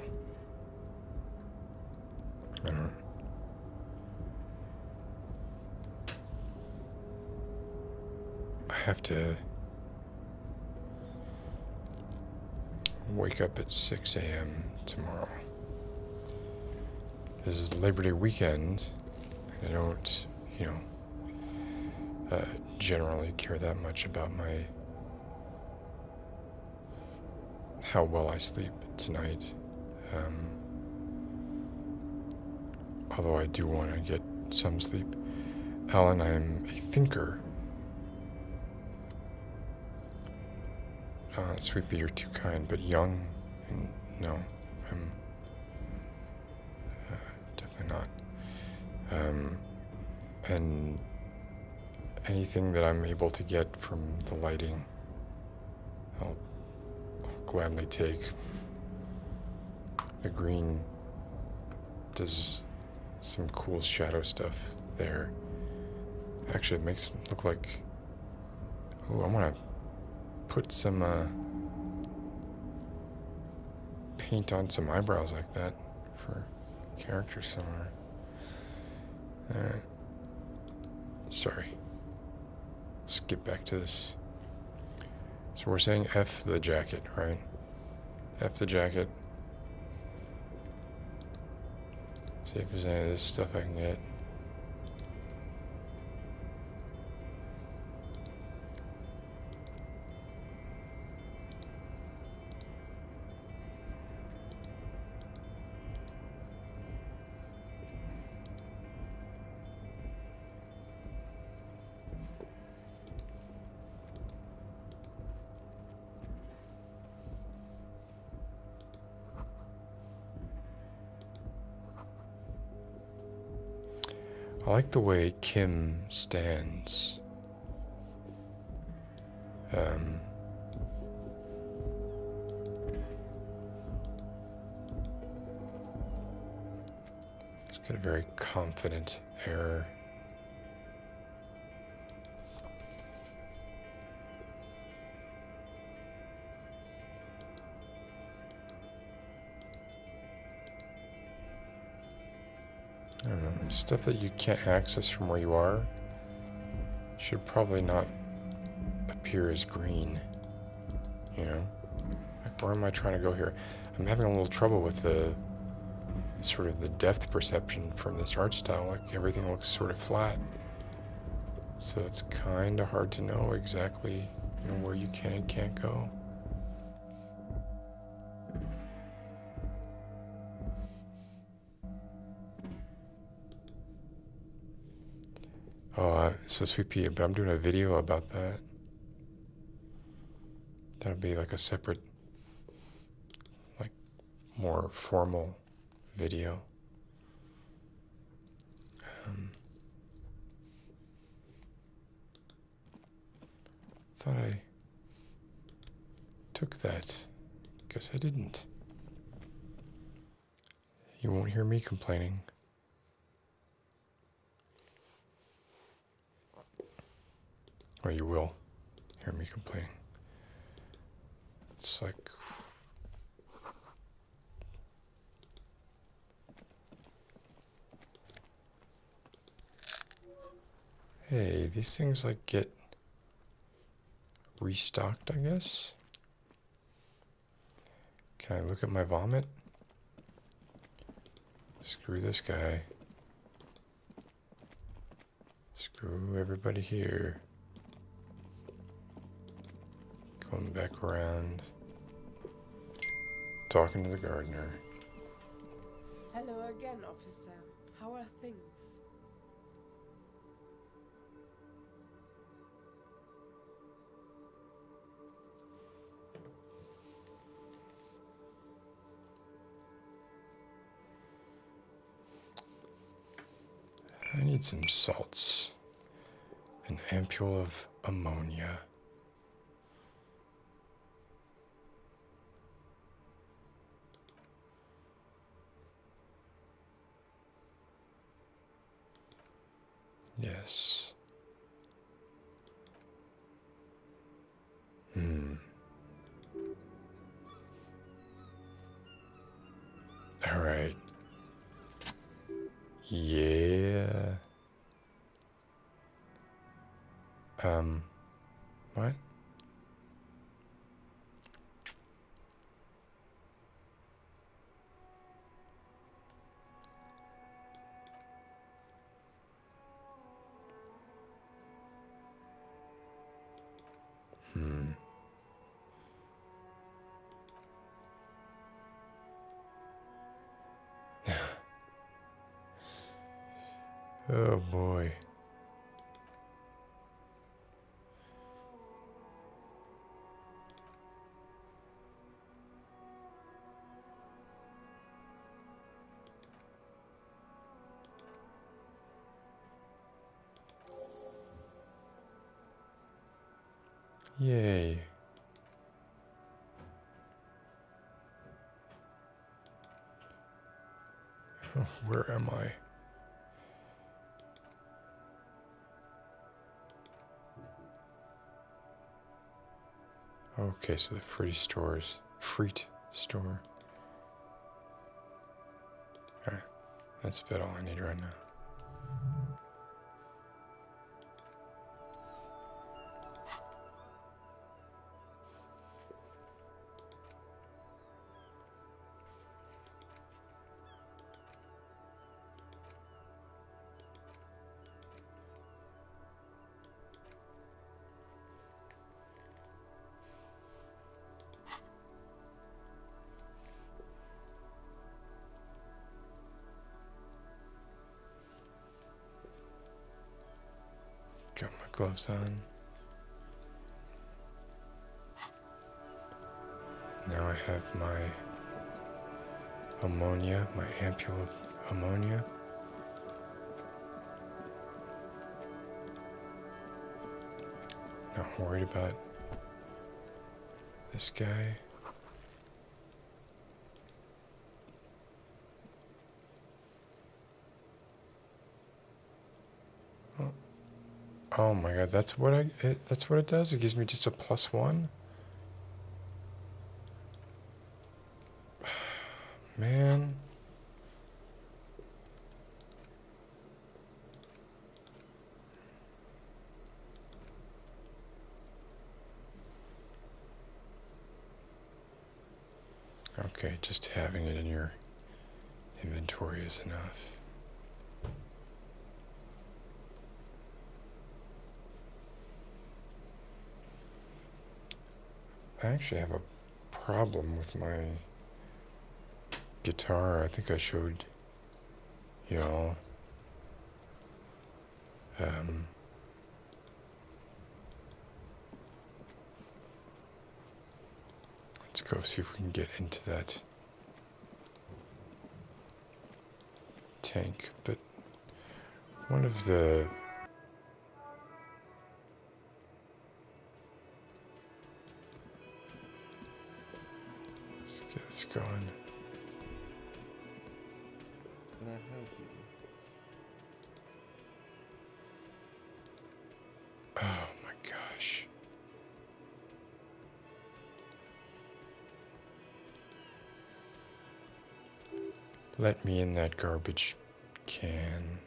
I have to wake up at 6 a.m. tomorrow. This is Labor Day weekend. I don't, you know, uh, generally care that much about my how well I sleep tonight. Um, although I do want to get some sleep. Alan, I'm a thinker. Uh, Sweepy, you're too kind, but young, no, I'm uh, definitely not. Um, and anything that I'm able to get from the lighting, I'll, gladly take. The green does some cool shadow stuff there. Actually, it makes look like. Oh, I want to put some uh, paint on some eyebrows like that for Character somewhere. Alright. Sorry. Let's get back to this. So we're saying F the jacket, right? F the jacket. See if there's any of this stuff I can get. I like the way Kim stands. Um, let get a very confident error stuff that you can't access from where you are should probably not appear as green, you know? Like, where am I trying to go here? I'm having a little trouble with the sort of the depth perception from this art style. Like, everything looks sort of flat. So it's kind of hard to know exactly you know, where you can and can't go. Oh, uh, so Sweet Pea, but I'm doing a video about that. that would be like a separate, like, more formal video. Um, Thought I took that. Guess I didn't. You won't hear me complaining. Or you will hear me complaining. It's like Hey, these things like get restocked, I guess. Can I look at my vomit? Screw this guy. Screw everybody here. Going back around. Talking to the gardener. Hello again, officer. How are things? I need some salts. An ampule of ammonia. Yes. Hmm. All right. Yeah. Um, what? Hmm. oh boy. Yay. Where am I? Okay, so the free stores. fruit store. Alright, that's about all I need right now. Got my gloves on. Now I have my ammonia, my ampule of ammonia. Not worried about this guy. Oh my god, that's what I, that's what it does? It gives me just a plus one? Man. Okay, just having it in your inventory is enough. I actually have a problem with my guitar. I think I showed y'all. Um, let's go see if we can get into that tank, but one of the Let's get this going. Can I help you? Oh my gosh. Let me in that garbage can.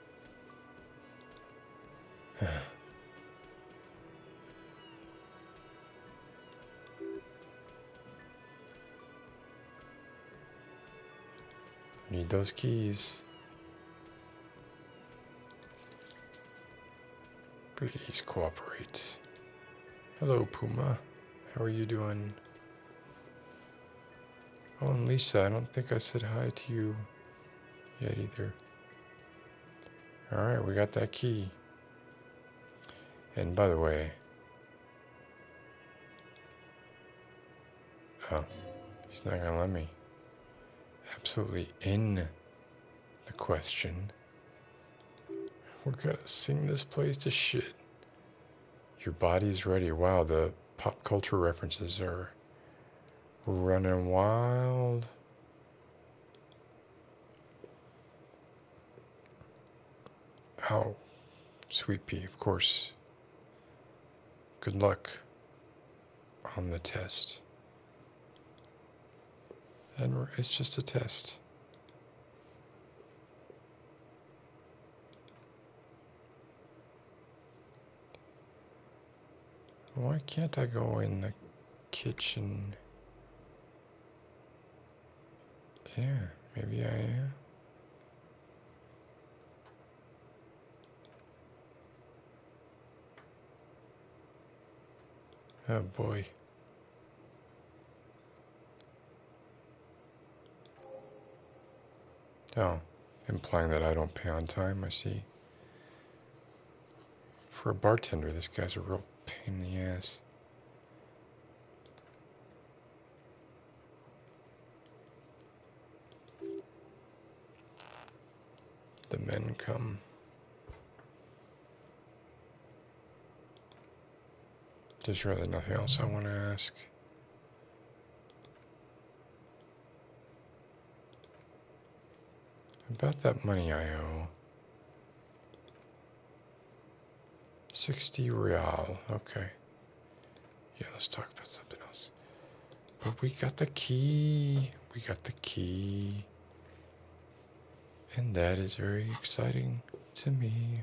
Need those keys. Please cooperate. Hello, Puma. How are you doing? Oh, and Lisa, I don't think I said hi to you yet either. All right, we got that key. And by the way, oh, he's not gonna let me. Absolutely in the question. We're gonna sing this place to shit. Your body's ready. Wow, the pop culture references are Running wild. Oh, sweet pea, of course. Good luck on the test. And it's just a test. Why can't I go in the kitchen? Yeah, maybe I am. Oh boy. No, oh, implying that I don't pay on time, I see. For a bartender, this guy's a real pain in the ass. The men come. There's really nothing else I want to ask. About that money I owe. 60 real. Okay. Yeah, let's talk about something else. But we got the key. We got the key. And that is very exciting to me.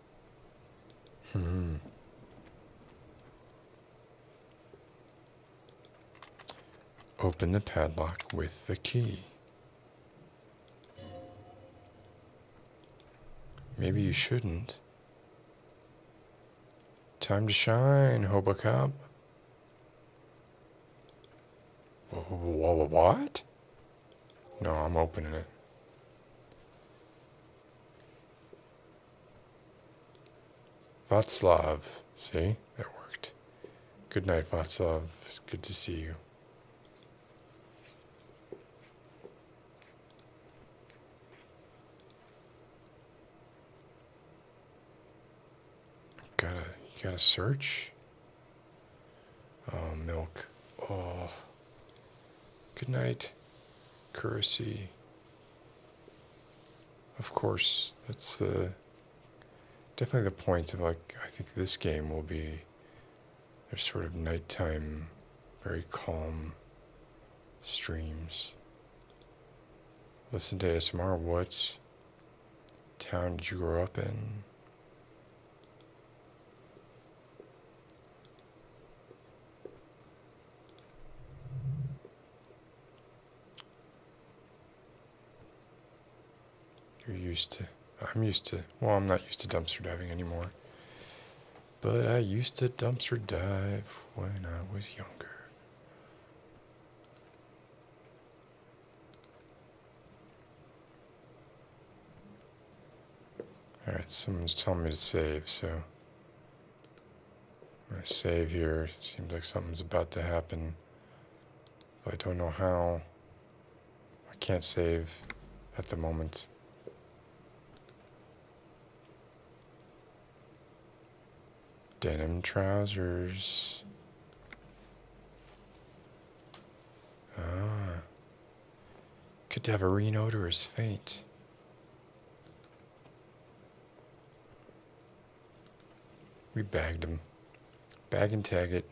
Hmm. Open the padlock with the key. Maybe you shouldn't. Time to shine, Hobocop. What? No, I'm opening it. Vatslav, See? That worked. Good night, Vatslav. good to see you. Gotta, gotta search. Oh, milk. Oh. Good night, Curacy. Of course, that's the definitely the point of like I think this game will be there's sort of nighttime, very calm streams. Listen to ASMR. What town did you grow up in? You're used to, I'm used to, well, I'm not used to dumpster diving anymore. But I used to dumpster dive when I was younger. Alright, someone's telling me to save, so I'm going to save here. Seems like something's about to happen. I don't know how. I can't save at the moment. Denim trousers. Ah. Cadaverine odor is faint. We bagged him. Bag and tag it.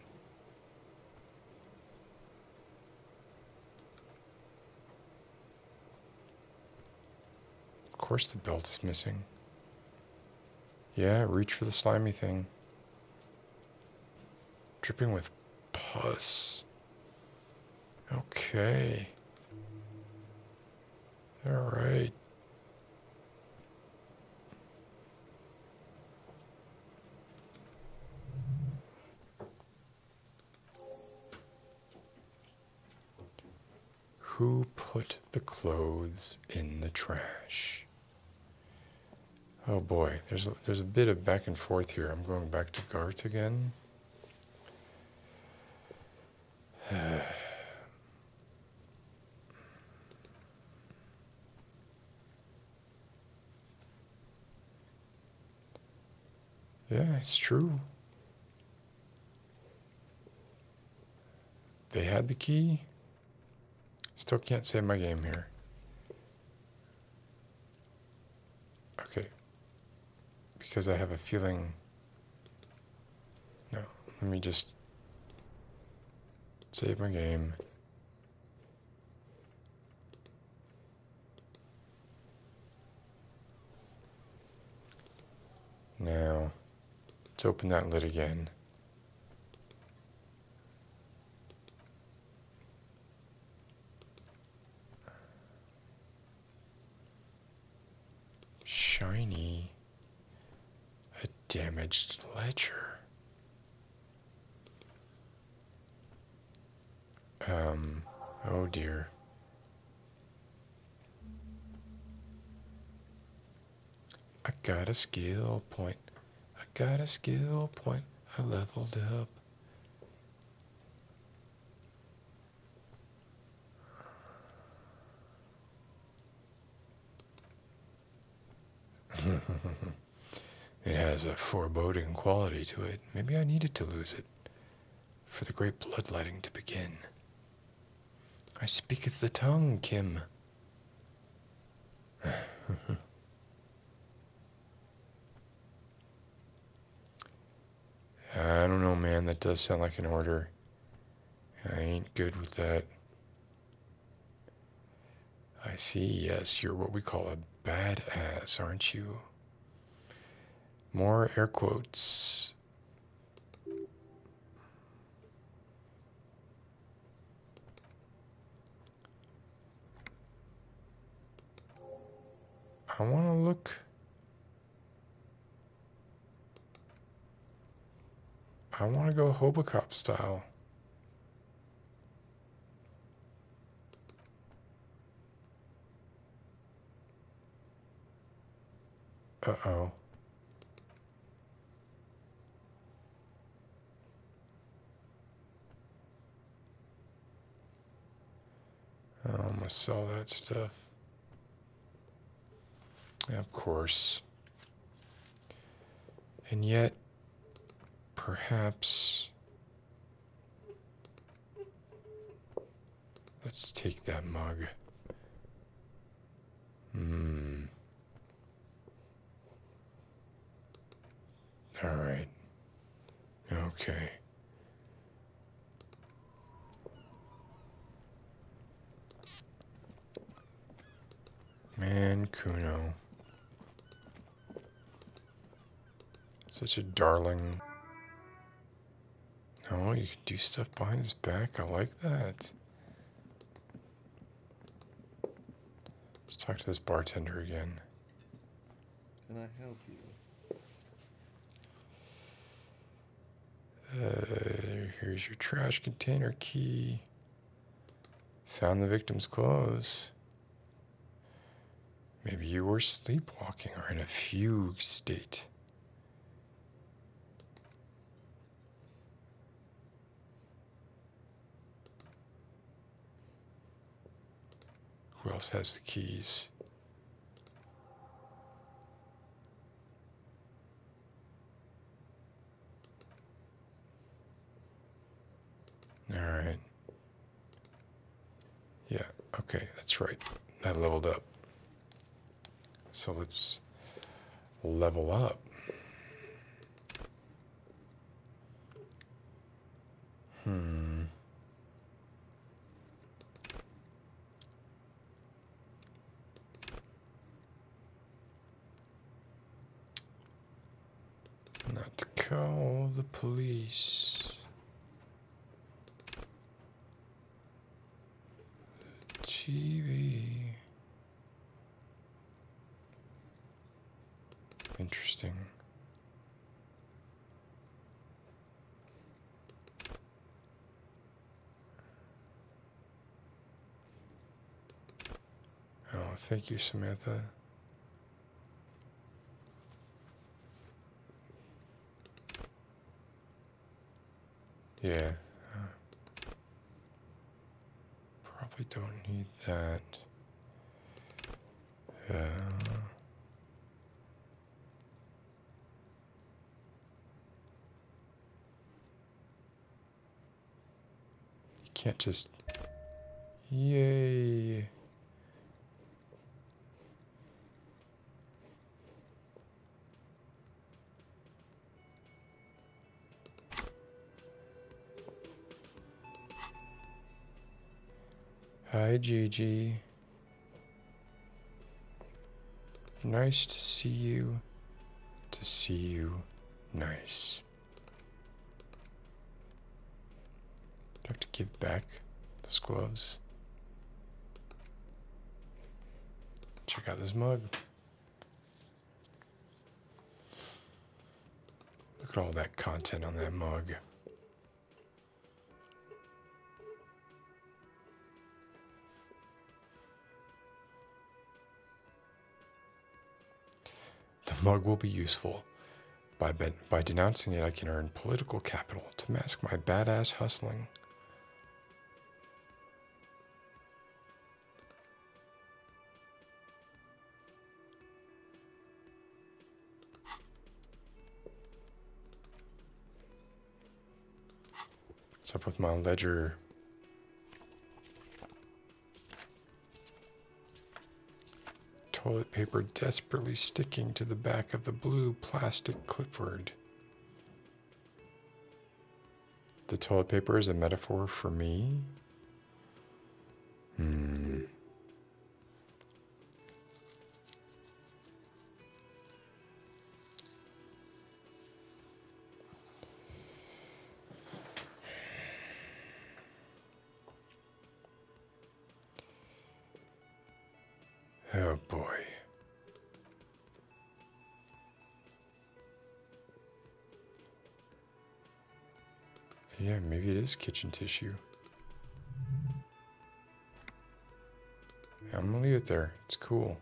Of course the belt is missing. Yeah, reach for the slimy thing. Dripping with Puss. Okay. All right. Who put the clothes in the trash? Oh boy, there's a, there's a bit of back and forth here. I'm going back to Gart again. yeah, it's true. They had the key. Still can't save my game here. Okay. Because I have a feeling... No, let me just... Save my game. Now, let's open that lid again. Shiny. A damaged ledger. Um, oh dear. I got a skill point. I got a skill point. I leveled up it has a foreboding quality to it. Maybe I needed to lose it for the great bloodletting to begin. I speaketh the tongue, Kim. I don't know, man. That does sound like an order. I ain't good with that. I see. Yes, you're what we call a bad ass, aren't you? More air quotes. I want to look I want to go Hobocop style. Uh-oh. Um, i must sell that stuff. Of course. And yet, perhaps... Let's take that mug. Hmm. Alright. Okay. Man, Kuno. Such a darling. Oh, you can do stuff behind his back. I like that. Let's talk to this bartender again. Can I help you? Uh, here's your trash container key. Found the victim's clothes. Maybe you were sleepwalking or in a fugue state. Who else has the keys? All right. Yeah, okay, that's right. I leveled up. So let's level up. Hmm. Not call the police. TV. Interesting. Oh, thank you, Samantha. Yeah. probably don't need that. Uh, you can't just... Yay! Hi, Gigi. Nice to see you, to see you, nice. have to give back those gloves? Check out this mug. Look at all that content on that mug. The mug will be useful. By, by denouncing it, I can earn political capital to mask my badass hustling. What's up with my ledger? Toilet paper desperately sticking to the back of the blue plastic clipboard. The toilet paper is a metaphor for me? Hmm. Oh boy. Yeah, maybe it is kitchen tissue. I'm gonna leave it there. It's cool.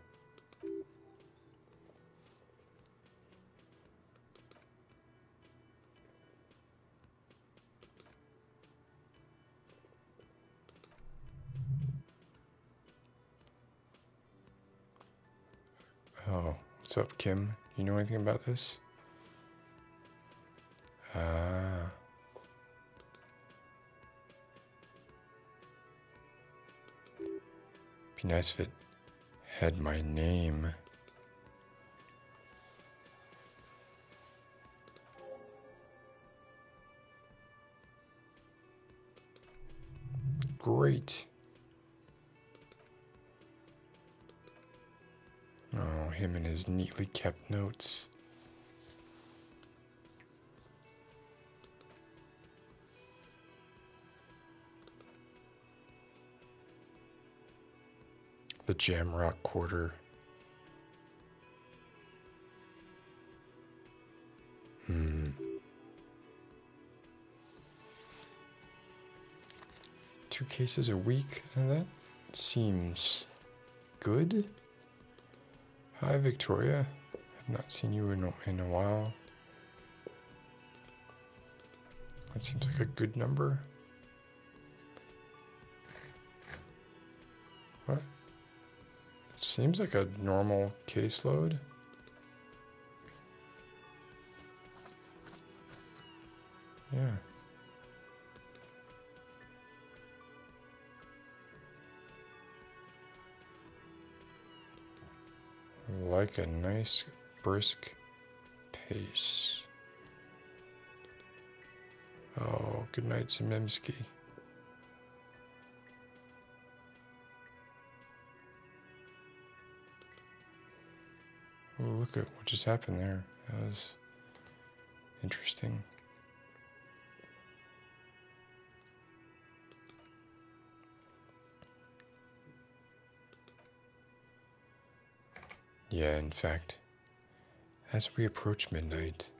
Oh, what's up, Kim? You know anything about this? Ah. Be nice if it had my name. Great. Oh, him and his neatly kept notes. The Jamrock Quarter. Hmm. Two cases a week? and That seems good. Hi, Victoria. I've not seen you in, in a while. That seems like a good number. What? It seems like a normal caseload. Yeah. Like a nice brisk pace. Oh, good night, Zemimsky. Oh, look at what just happened there. That was interesting. Yeah, in fact, as we approach midnight,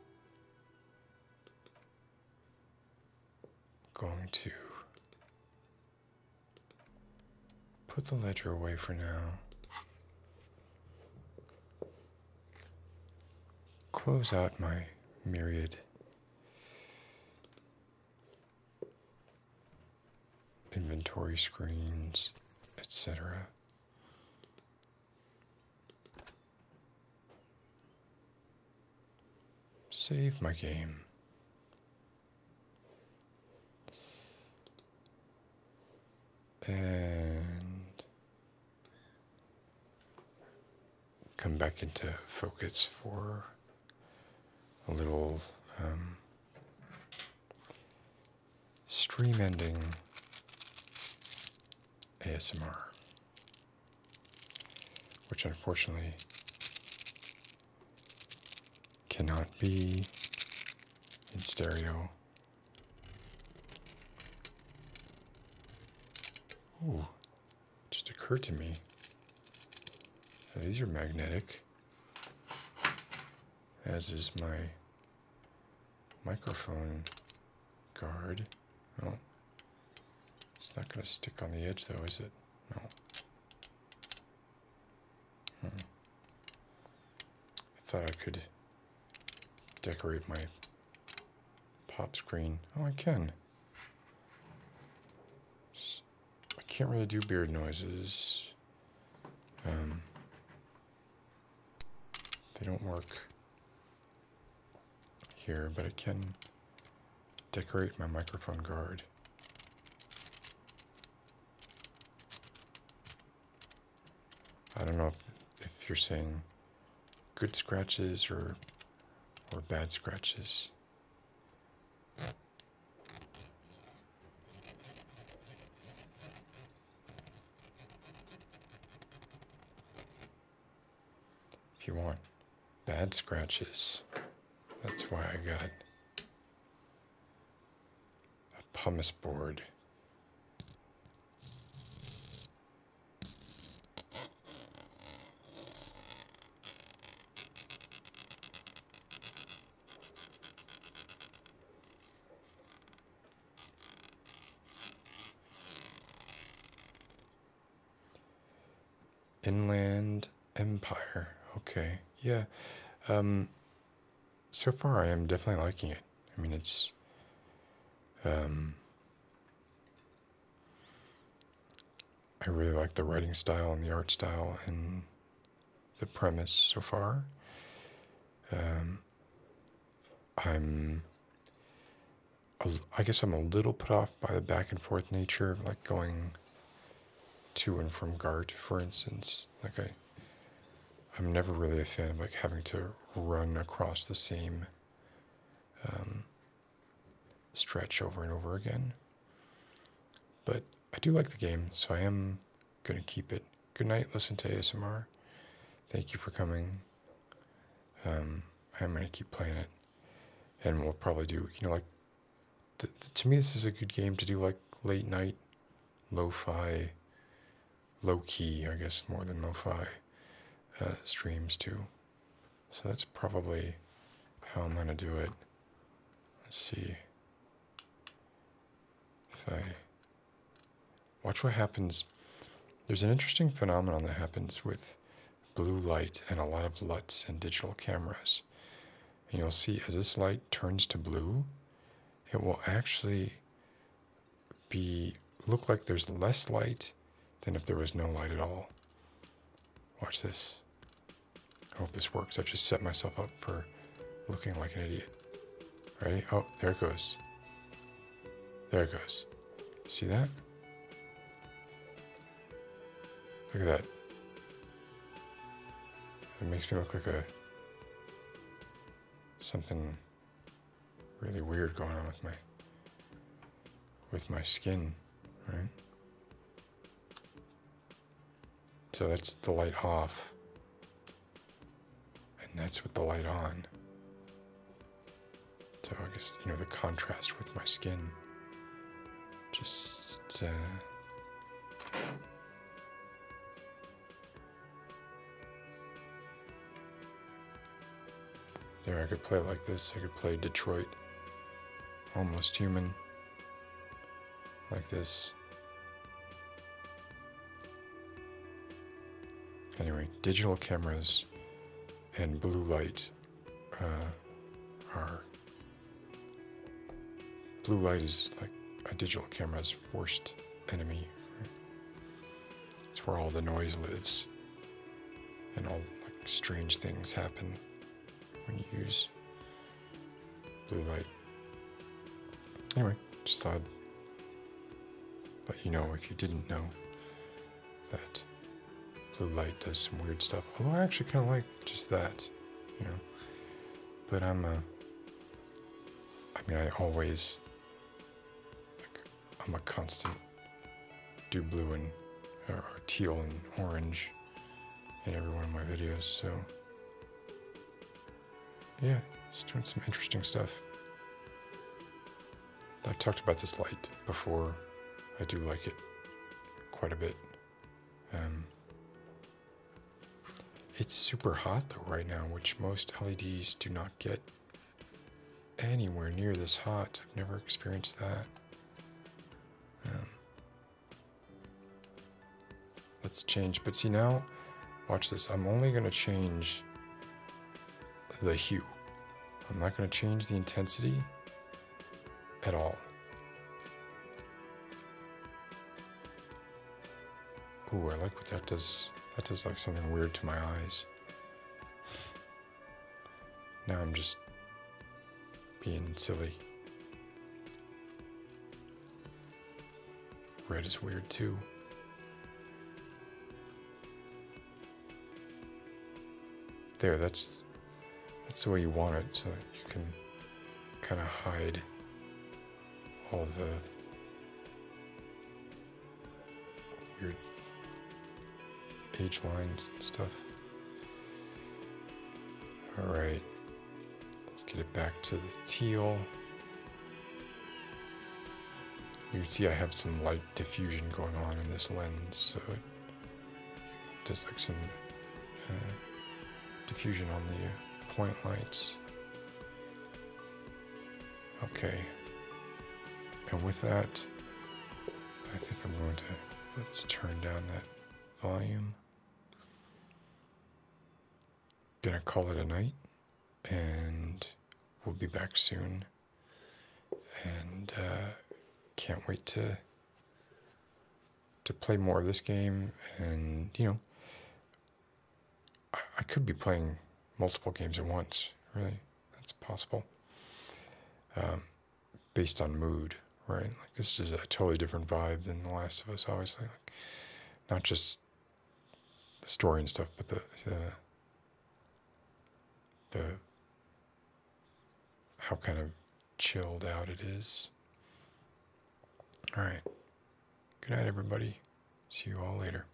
I'm going to put the ledger away for now. Close out my myriad inventory screens, etc. Save my game. And come back into focus for a little um, stream ending ASMR, which unfortunately cannot be in stereo just occurred to me. these are magnetic. As is my microphone guard. No. It's not going to stick on the edge though, is it? No. Hmm. I thought I could decorate my pop screen. Oh, I can. I can't really do beard noises. Um, they don't work here, but I can decorate my microphone guard. I don't know if, if you're saying good scratches or or bad scratches. If you want bad scratches, that's why I got a pumice board. Inland Empire. Okay, yeah. Um, so far, I am definitely liking it. I mean, it's um, I really like the writing style and the art style and the premise so far. Um, I guess I'm a little put off by the back and forth nature of like going to and from Gart, for instance. Like I, I'm never really a fan of like having to run across the same um, stretch over and over again. But I do like the game, so I am going to keep it. Good night. Listen to ASMR. Thank you for coming. Um, I'm going to keep playing it. And we'll probably do, you know, like, th to me, this is a good game to do, like, late night, low fi, low key, I guess, more than low fi uh, streams, too. So that's probably how I'm going to do it. Let's see. If I... Watch what happens. There's an interesting phenomenon that happens with blue light and a lot of LUTs and digital cameras. And you'll see as this light turns to blue, it will actually be look like there's less light than if there was no light at all. Watch this. I hope this works. I've just set myself up for looking like an idiot. Ready? Oh, there it goes. There it goes. See that? Look at that. It makes me look like a something really weird going on with my with my skin, right? So that's the light off. And that's with the light on. So I guess, you know, the contrast with my skin. Just, uh, There, I could play like this. I could play Detroit almost human, like this. Anyway, digital cameras and blue light uh, are. Blue light is like a digital camera's worst enemy. It's where all the noise lives and all like strange things happen when you use blue light. Anyway, just thought I'd let you know if you didn't know that blue light does some weird stuff. Although I actually kind of like just that, you know. But I'm a, uh, I mean, I always, like, I'm a constant do blue and, or teal and orange in every one of my videos. So, yeah, just doing some interesting stuff. I've talked about this light before. I do like it quite a bit. Um, it's super hot though right now, which most LEDs do not get anywhere near this hot. I've never experienced that. Um, Let's change, but see now, watch this. I'm only gonna change the hue. I'm not gonna change the intensity at all. Ooh, I like what that does. That does like something weird to my eyes. Now I'm just being silly. Red is weird too. There, that's that's the way you want it, so you can kind of hide all the weird lines stuff. All right, let's get it back to the teal. You can see I have some light diffusion going on in this lens, so it does like some uh, diffusion on the point lights. Okay, and with that, I think I'm going to, let's turn down that volume gonna call it a night and we'll be back soon and uh, can't wait to to play more of this game and you know I, I could be playing multiple games at once really that's possible um, based on mood, right? Like this is a totally different vibe than The Last of Us, obviously. Like not just the story and stuff, but the the, the how kind of chilled out it is. All right. Good night, everybody. See you all later.